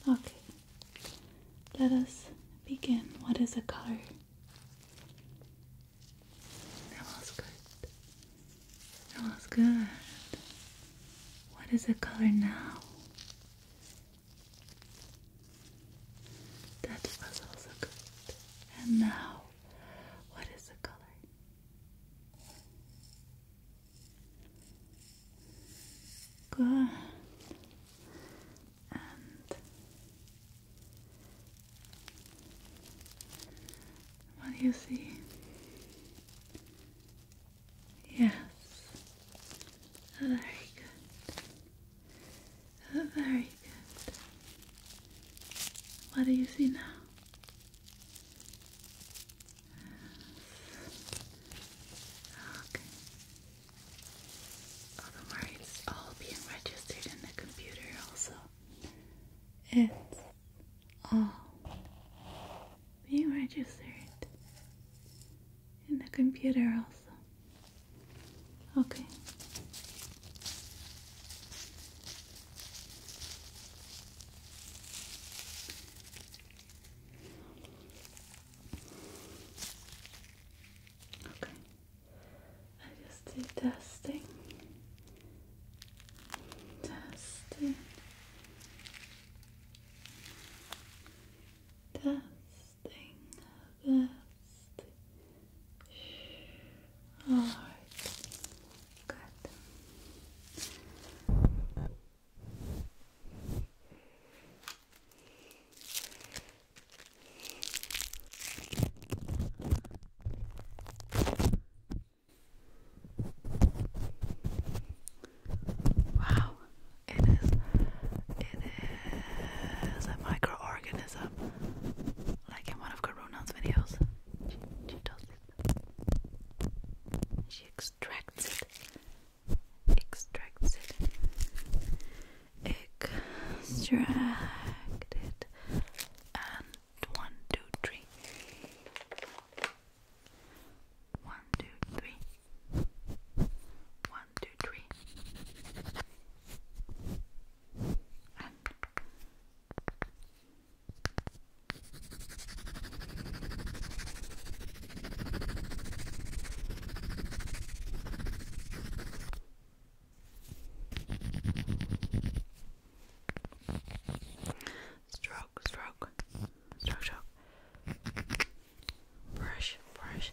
okay, let us begin. What is a color? That was good. That was good. What is the color now? That was also good. And now, what is the color? Good. And what do you see? Yes. Oh, very good. Oh, very good. What do you see now? Okay. Oh, don't worry, all being registered in the computer also. It's Oh, being registered in the computer also. Okay. Okay. I just did testing. Testing. Testing best. Alright. Good. Wow, it is, it is a microorganism, like in one of Karuna's videos. She, does it. She extracts it. Extracts it. Extract it. And one, two, three. One, two, three. One, two, three. stroke, stroke stroke, stroke. Brush, brush.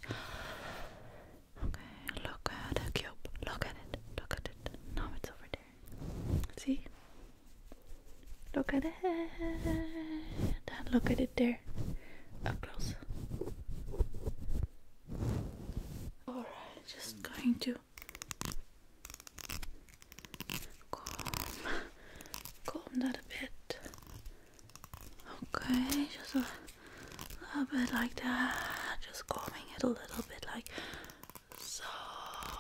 Okay, look at the cube. Look at it. Look at it. Now it's over there. See? Look at it. Look at it there. Up close. Alright, just going to calm, calm a bit. Okay, just a little bit like that. Just calming it a little bit like so,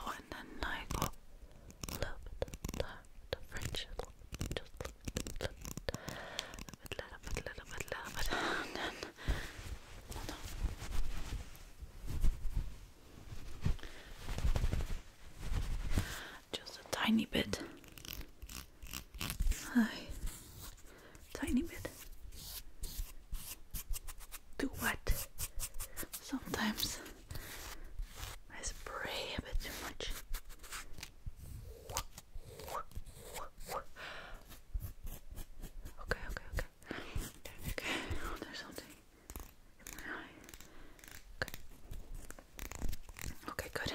and then I go a little bit a little bit, little bit, little little bit, and then just a tiny bit. Hi. Tiny bit. Too wet. Sometimes I spray a bit too much. Okay, okay, okay. Okay, there's something in my Good. Okay, good.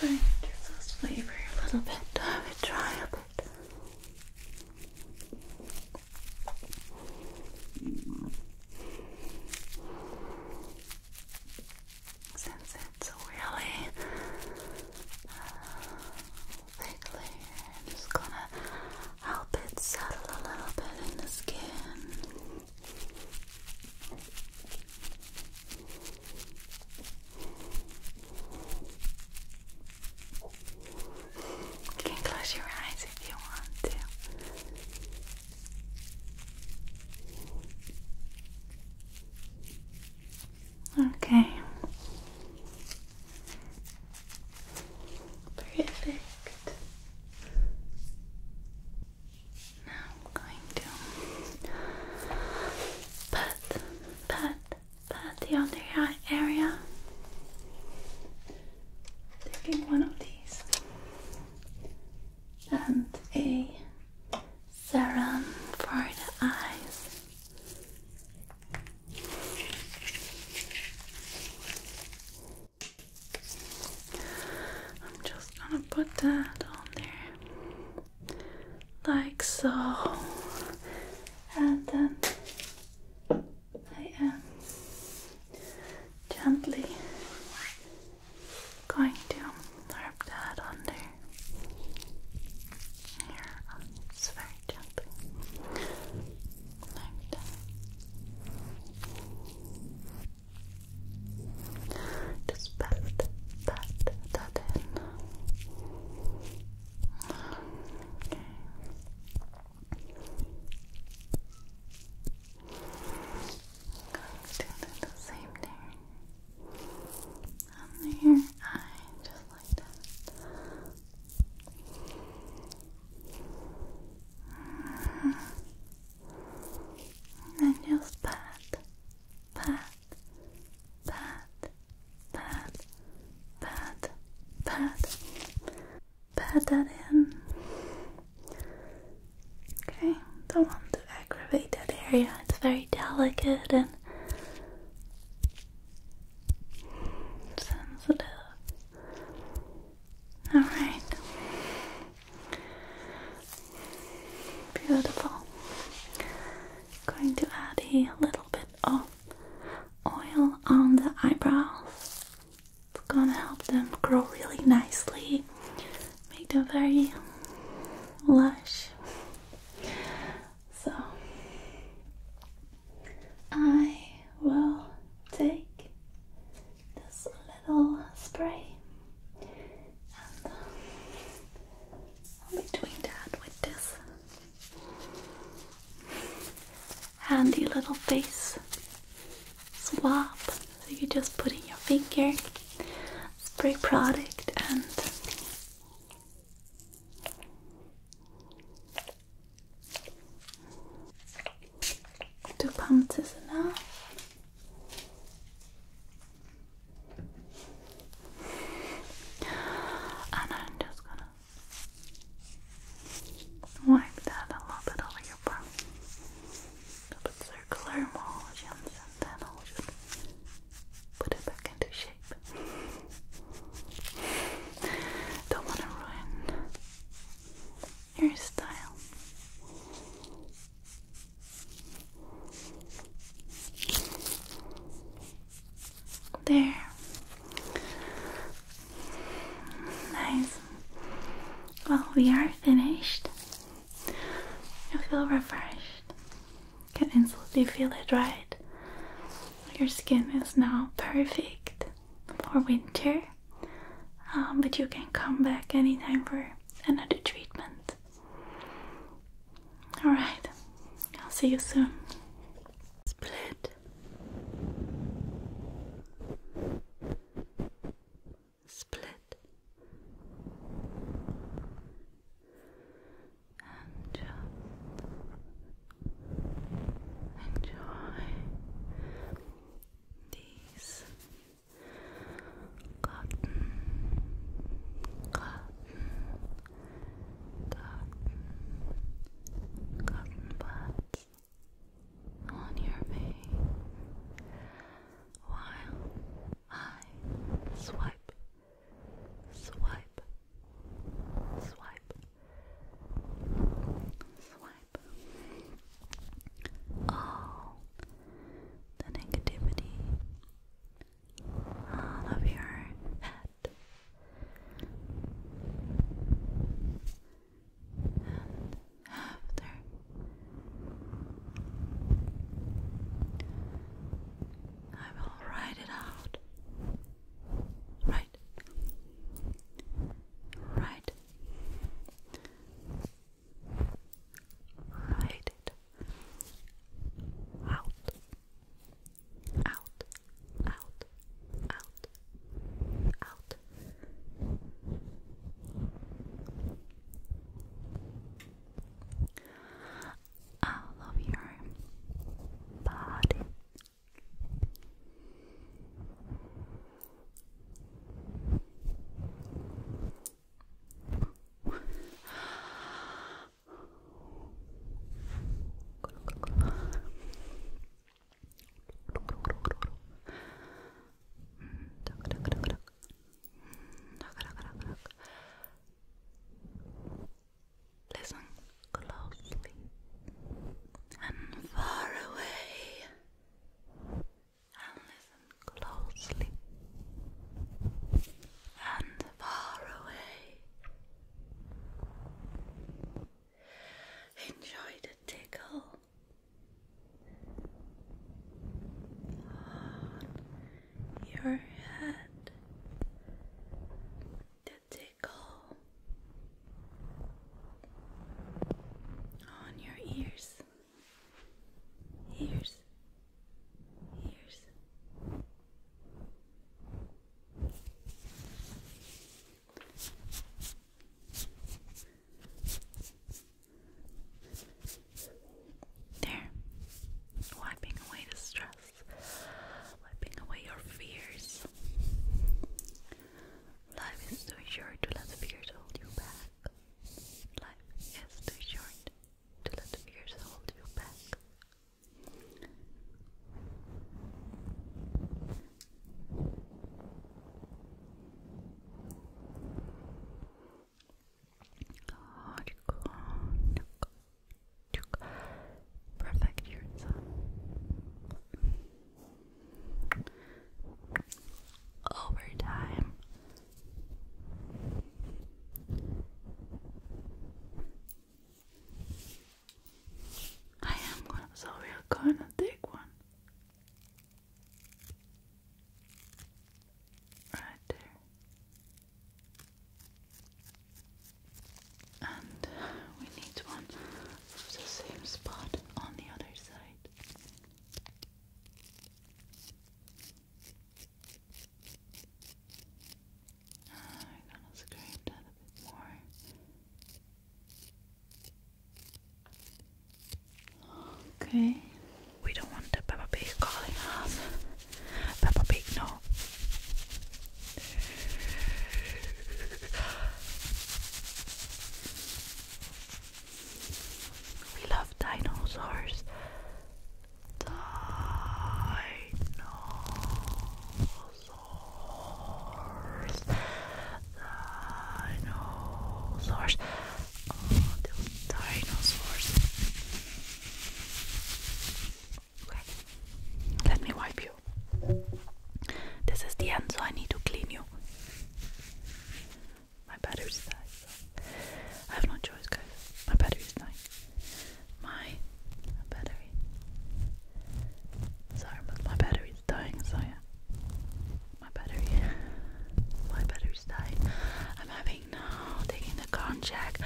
Going to just flavor a little bit, have it dry a bit. Since it's really uh, I'm just gonna help it settle a little bit in the skin. You can close your eyes if you want to. Okay. Perfect. Now I'm going to pat, pat, pat the other area taking one of these and a serum for the eyes. I'm just gonna put that on there like so and then I am gently going to rub that under your eyes very gently. Just pat, pat that in. Okay. I'm do the same there. Under your eye, just like that. And just pat, pat, pat, pat, pat, pat pad that in. Okay, don't want to aggravate that area, it's very delicate and sensitive. Alright. Beautiful. Going to add a little bit of oil on the eyebrows. It's gonna help them grow really nicely, make them very lush. So, I will take this little spray and I'll be doing that with this handy little face swap. So you just put in your finger, spray product, and two pumps is enough. And I'm just gonna wipe that a little bit over your brow. A bit circular motions and then I'll just put it back into shape. Don't want to ruin your style. There. Nice. Well, we are finished. You feel refreshed. You can instantly feel it, right? Your skin is now perfect for winter, um, but you can come back anytime for another treatment. Alright, I'll see you soon. Split split and uh, enjoy these cotton, cotton, cotton, cotton buds on your face while I swipe, swipe, swipe, swipe all the negativity out your head after. I will write it out. Right. Right. Write it out. Out. Out. Out. Out all of your body. Listen closely and far away, and listen closely and far away. Enjoy the tickle on your head, the tickle on your ears, ears, ears. There. Wiping away the stress, wiping away your fears. Life is too short to let the fears hold you back. Life is too short to let the fears hold you back. Perfect your thumb. Over time, I am gonna. So we are gonna take one. Right there. And we need one of the same spot on the other side. I'm gonna scrape a bit more. Okay. We don't want the Peppa Pig calling us. Peppa Pig, no. We love dinosaurs. Dinosaurs. Dinosaurs all the dinosaurs. Okay, let me wipe you. This is the end, so I need to clean you. My battery's died. I have no choice, guys. My battery's dying. My battery. Sorry, my battery's dying, so yeah. My battery. My battery's died. I'm having now taking the cognac.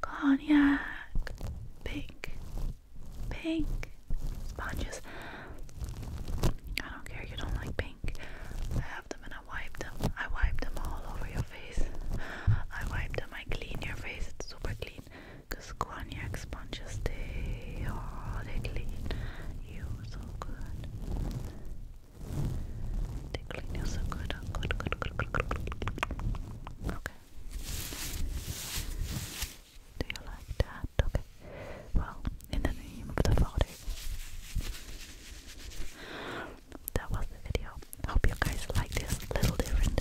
Cognac. Pink. Pink. Sponges. I don't care, you don't like pink. I have them and I wipe them. I wipe them all over your face. I wipe them, I clean your face. It's super clean. Because cognac sponges, stay are oh, they clean you so good. Tickling you Do you like that? Okay. Well, in the name of the Father. That was the video. hope you guys like this. Little different.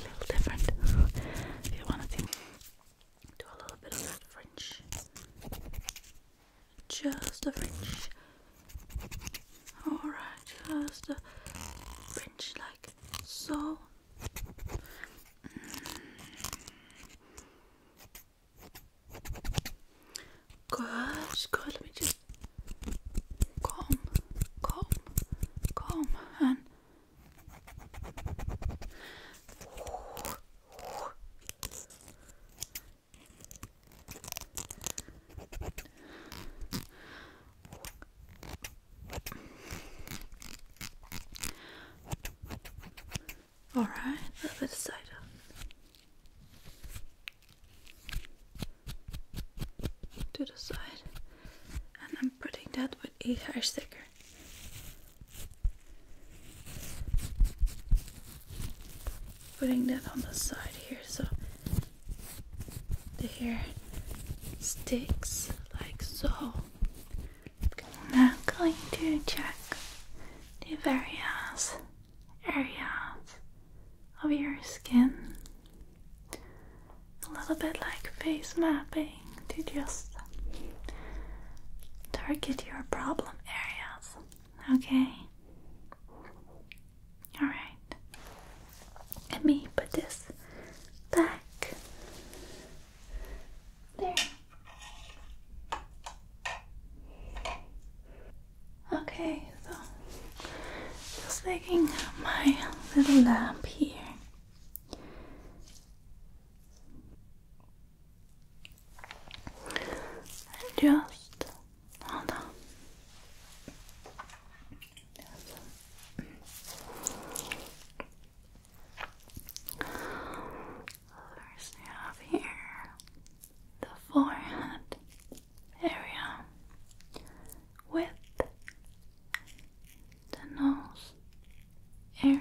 Little different. if you wanna do a little bit of French just a fringe. Alright, just a fringe like so. Good, good. Let me just calm, calm, calm, and all right, a little bit of cider. To the side, and I'm putting that with a hair sticker. Putting that on the side here so the hair sticks like so. I'm now going to check the various areas of your skin. A little bit like face mapping to just target your problem areas. Okay. Alright. Let me put this back there. Okay, so just taking my little lamp here just hold on. First, we have here the forehead area with the nose area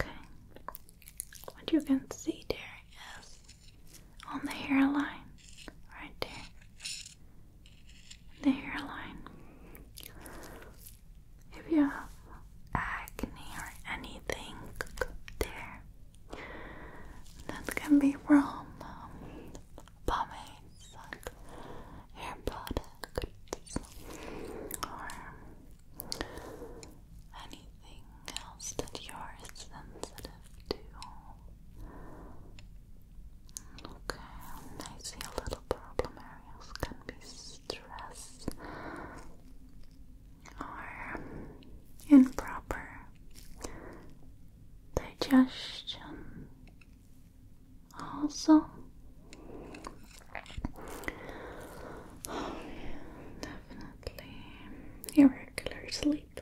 Okay. What you can see there is on the hairline, right there. The hairline. If you have acne or anything there, that can be from um, like hair products, anything else that you're sensitive to. Okay, I a little problem areas can be stress or improper digestion. Also, Oh, definitely. Irregular sleep.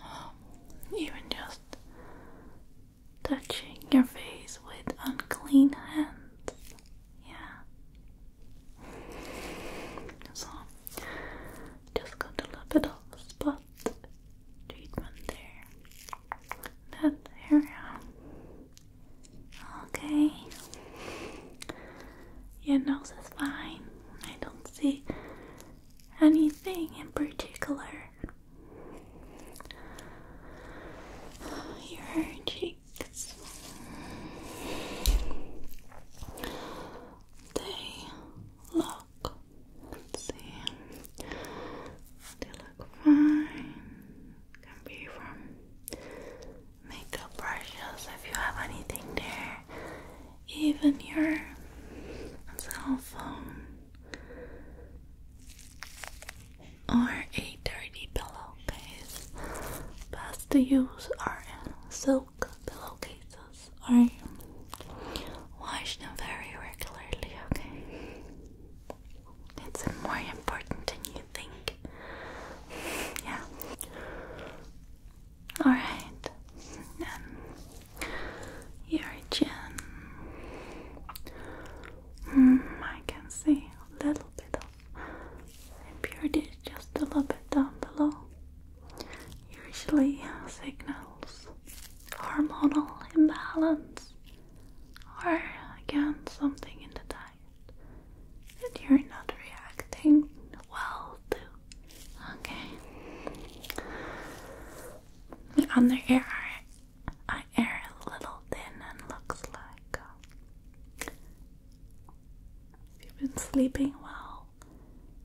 Oh, even just touching your face with unclean hands. Yeah. So, just got a little bit of spot treatment there. That area Okay. Your nose is fine. I don't see anything in particular. Your cheeks. They look. They look fine can be from makeup brushes if you have anything there, even your cell phone or a dirty pillowcase. Best to use our silk pillowcases or wash them very regularly, okay? It's more important than you think. Yeah. Alright. Um, your chin. Mm, I can see a little bit of impurity just a little bit down below. Usually signals hormonal imbalance or again something in the diet that you're not reacting well to. Okay. The under ear, I air a little thin and looks like uh, you've been sleeping well.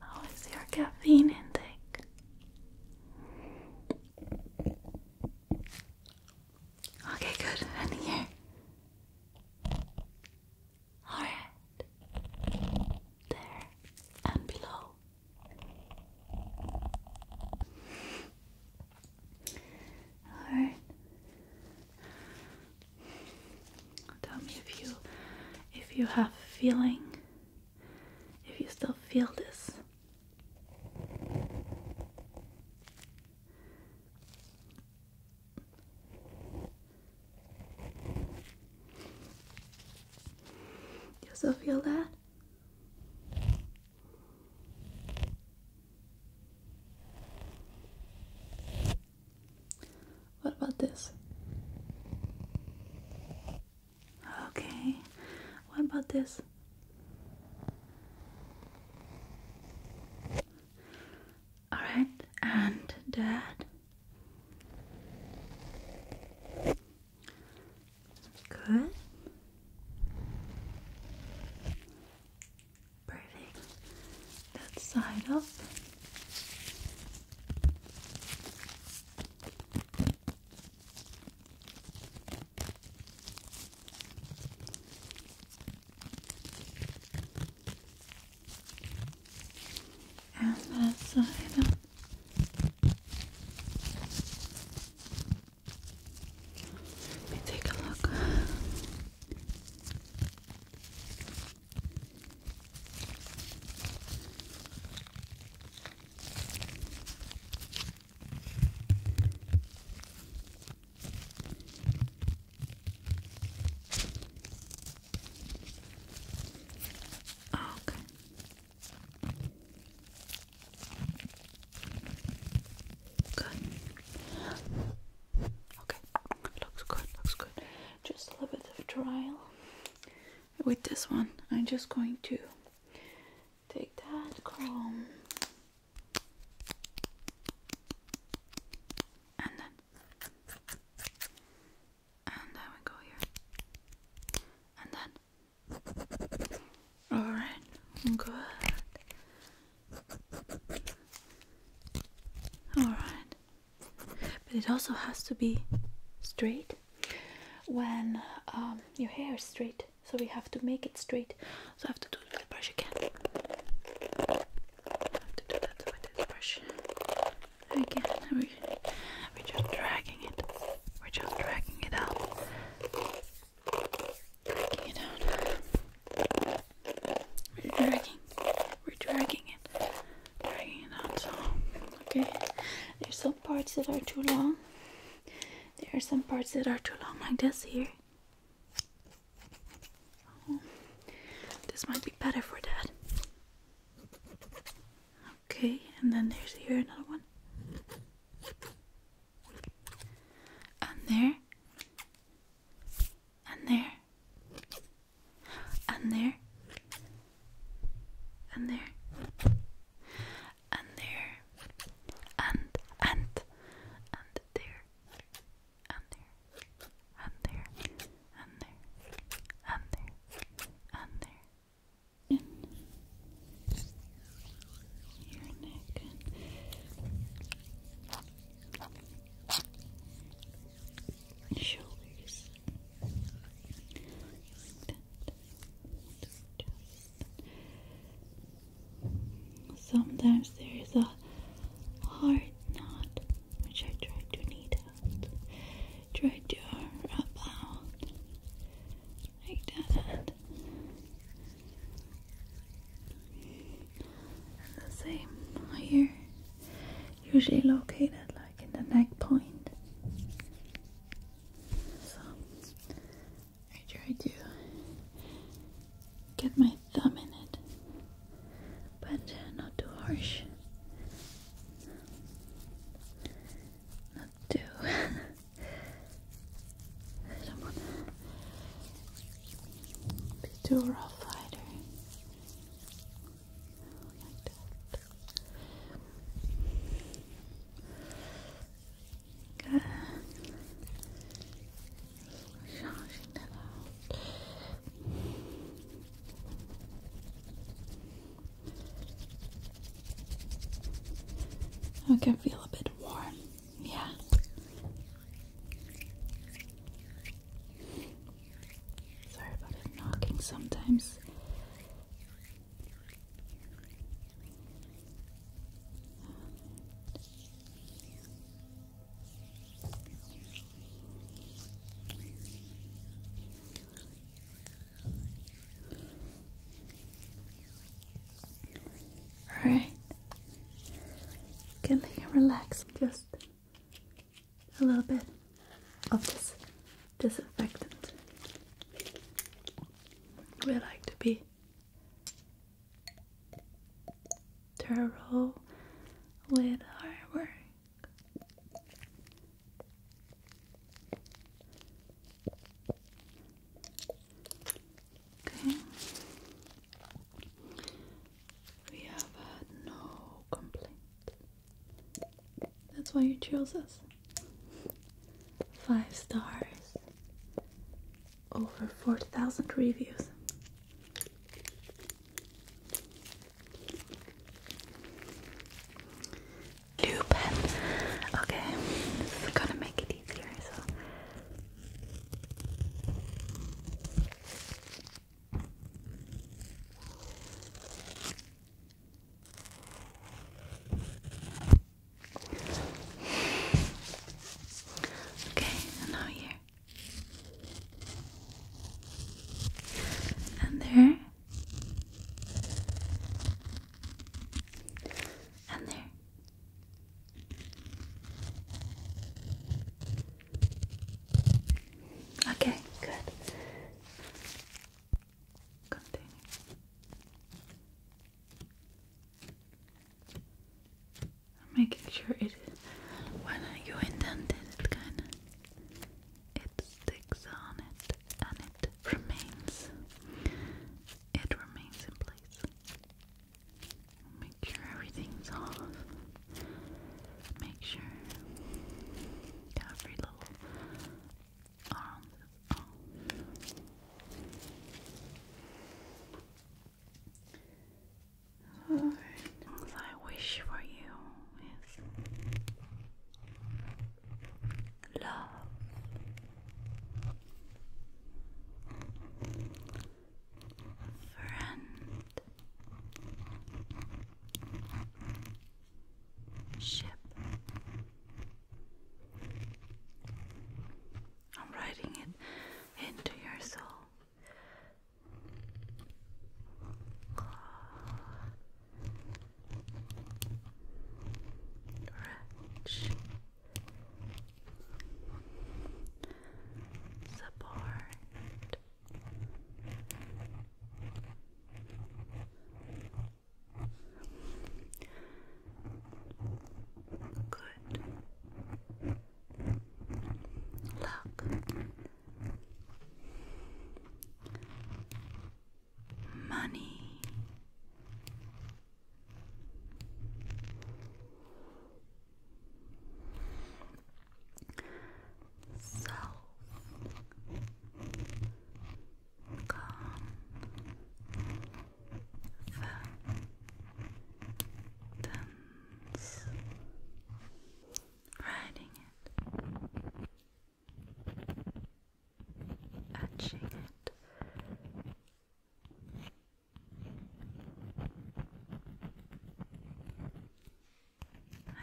How is your caffeine intake? Okay, good. And here. Alright. There. And below. Alright. Tell me if you if you have feeling if you still feel this. You also feel that? What about this? Okay, what about this? Alright, and dad. Good. Perfect. That side up. And that side up. Let me take a look. Oh, okay. Good. Okay. Looks good, looks good. Just a little bit of trial. With this one, I'm just going to take that comb and then. And then we go here. And then. Alright, good. Alright. But it also has to be straight when um, your hair is straight, so we have to make it straight. So I have to do it with the brush again. have to do that with the brush again. We, are just dragging it. We're just dragging it out. Dragging it out. We're dragging. We're dragging it. Dragging it out. okay. There's some parts that are too long. There are some parts that are too long, like this here. Oh, this might be better for that. Okay, and then there's here another one. And there. And there. And there. And there. And there. And and and there and there, and there, and there, and there, and there. In your neck and shoulders. Sometimes there is a hard knot which I try to knead out, try to rub out like that. And the same here, usually located like in the neck point. So I tried to get my thumb in it, but not too harsh. Not too. I don't want to be too rough either. Like that. Good. I can feel a bit warm, yeah. Sorry about it knocking sometimes. All right. Can you relax just a little bit of this disinfectant? We like to be Turtle with hard work. Okay. We have no complaint. That's why you chose us. Five stars over 4,000 reviews. Lupin. Okay, this is gonna make it easier. So. Okay, now here and there, and there. Okay, good. Continue making sure it when you indent it, kind of it sticks on it and it remains. It remains in place. Make sure everything's off. Make sure every little arm all I wish for you is love. Friend, I'm writing it into your soul. Rich support good Luck, Money. Self. Calm riding it, etching it.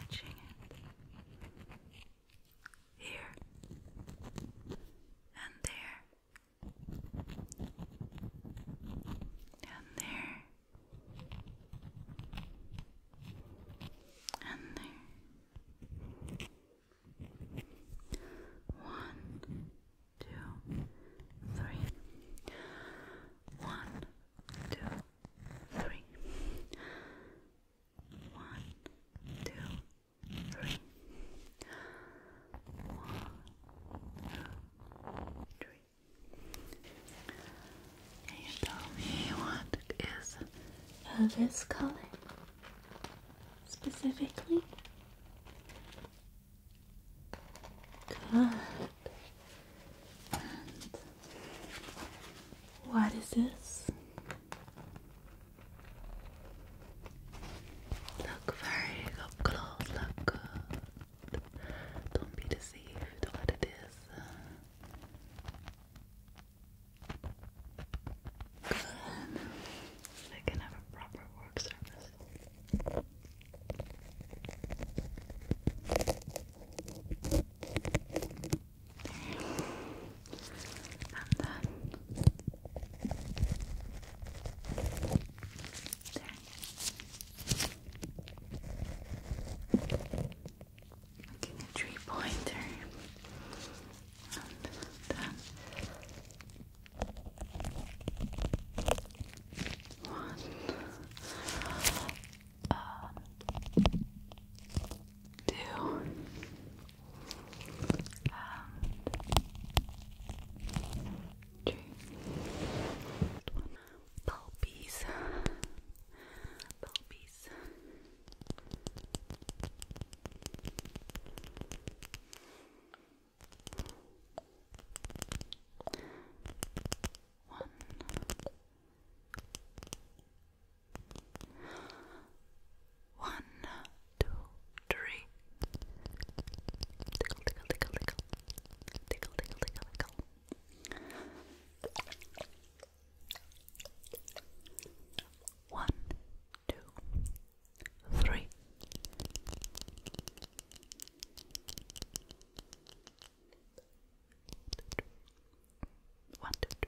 Etching it here and there and there and there. One, two, three. One, two, three. One, two, three. One, two, three. Can tell me what is uh, this color specifically? Good. And what is this? Look very up don't be deceived out of this. Good. they can have a proper work service. Getting a three pointer. And then uh, one. two. And uh, three. One. Pulpies. Pulpies. One. Tickle, tickle, tickle, tickle. Tickle, tickle, tickle, tickle. One, two, three. One, two, two.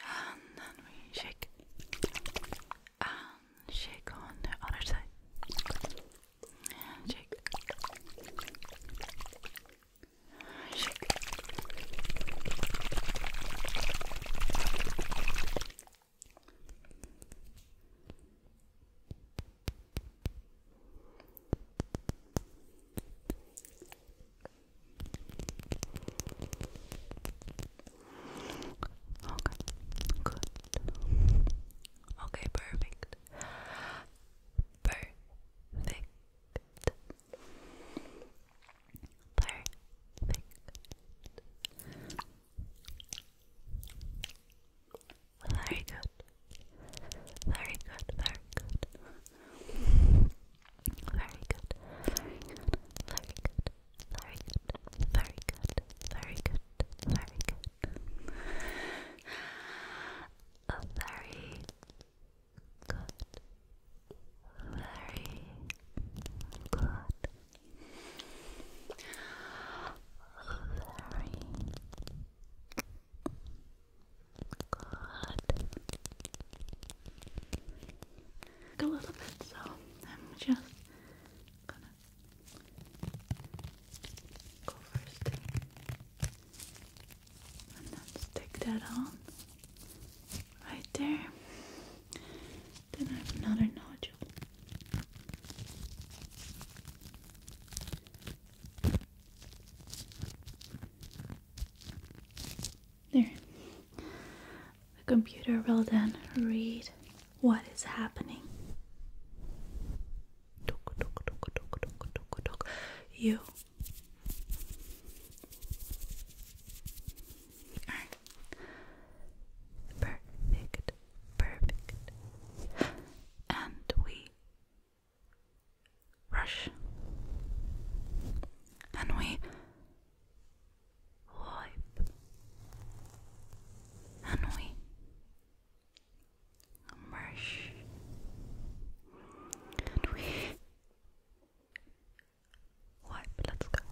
And then we shake and shake on the other side. shake. Shake. Okay, good. Okay, perfect. Perfect. Perfect. Very good. Very good, very good. Very good. Very good. Very good. Very good. Very good. Very good. Very good very good. A little bit, so I'm just gonna go first and then stick that on right there. Then I have another nodule. There. The computer will then read what is happening. You perfect, perfect, and we rush and we wipe and we merge and we wipe. Let's go.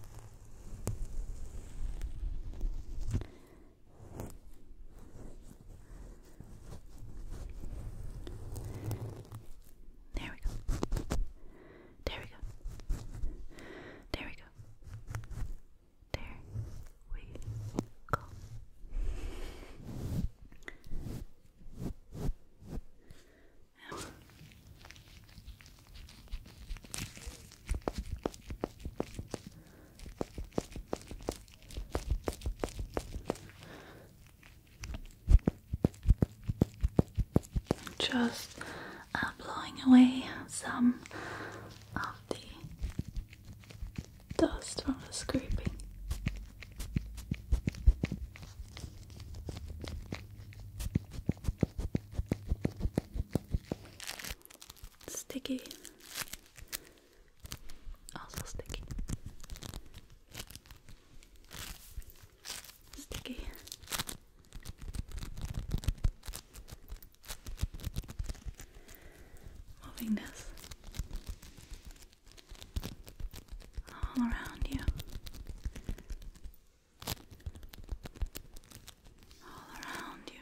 There we go. There we go. There we go. There we go. Just uh, blowing away some of the dust from the scraping. Sticky also sticky. Sticky. Moving all around you. All around you.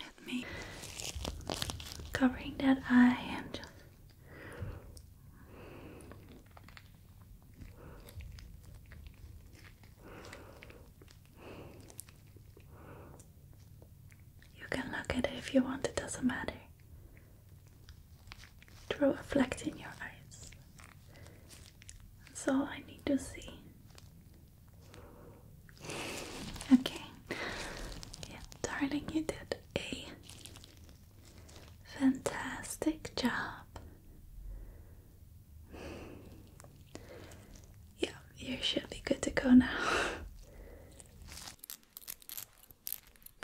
at me, covering that eye you can look at it if you want, it doesn't matter. Throw a flex in your eyes. That's all I need to see. Okay. Yeah, darling, you did a fantastic job. Yeah, you should be good to go now.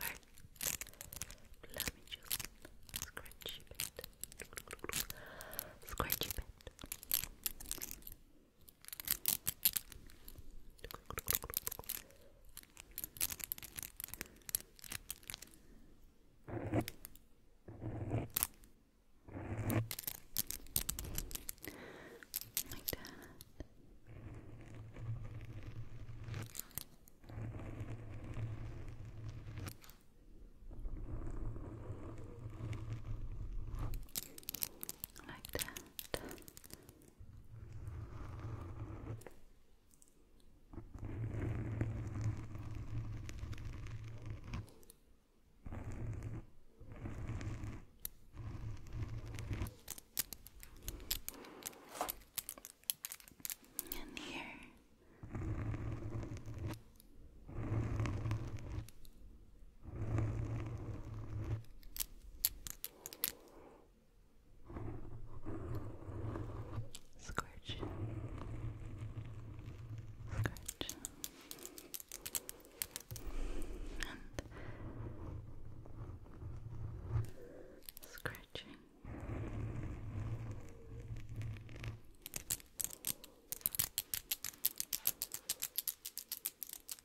Let me just scratch a bit. Scratch a bit. Like that. Good like that. And here. Scorch. Scorch. And scratching.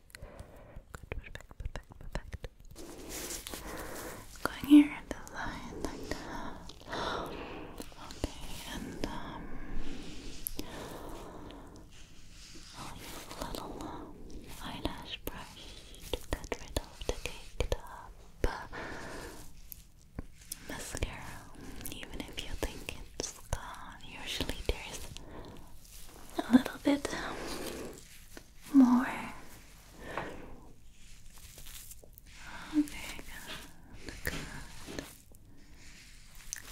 Good. Good. Going here at the line Okay. And a um, oh, little uh, eyelash brush to get rid of the caked up mascara. Even if you think it's gone, usually there's a little bit more. Okay, good, good,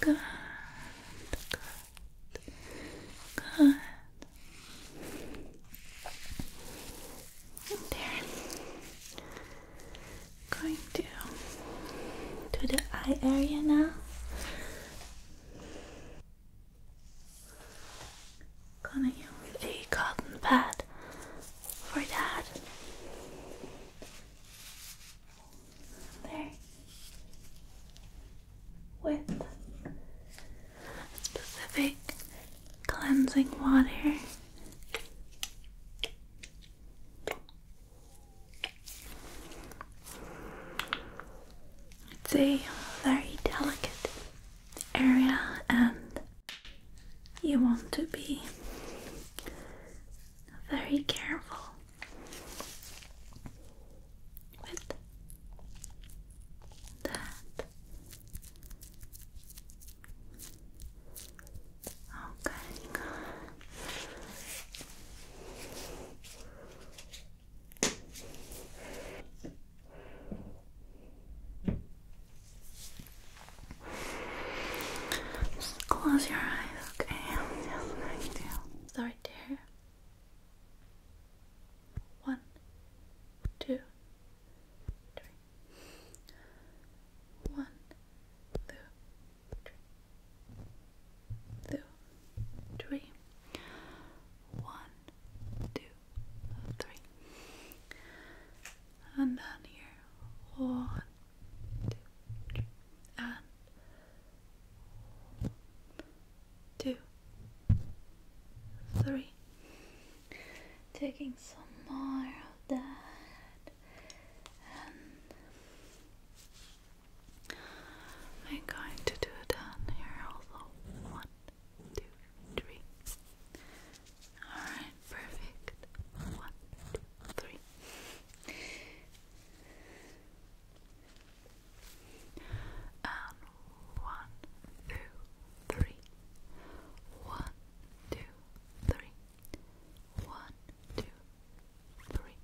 good, good, There. Going to do the eye area now. Gonna a cotton pad for that. There. With specific cleansing water. It's a very delicate area, and you want to be very careful with that. Okay. Just close your eyes, okay? Just right One, two, three. One, one, two, three. And down here. One, two, three. And two, three. Taking some more of that. I'm going to do it down here also. One, two, three. Alright, perfect. One, two, three. And One, two, three. One, two, three.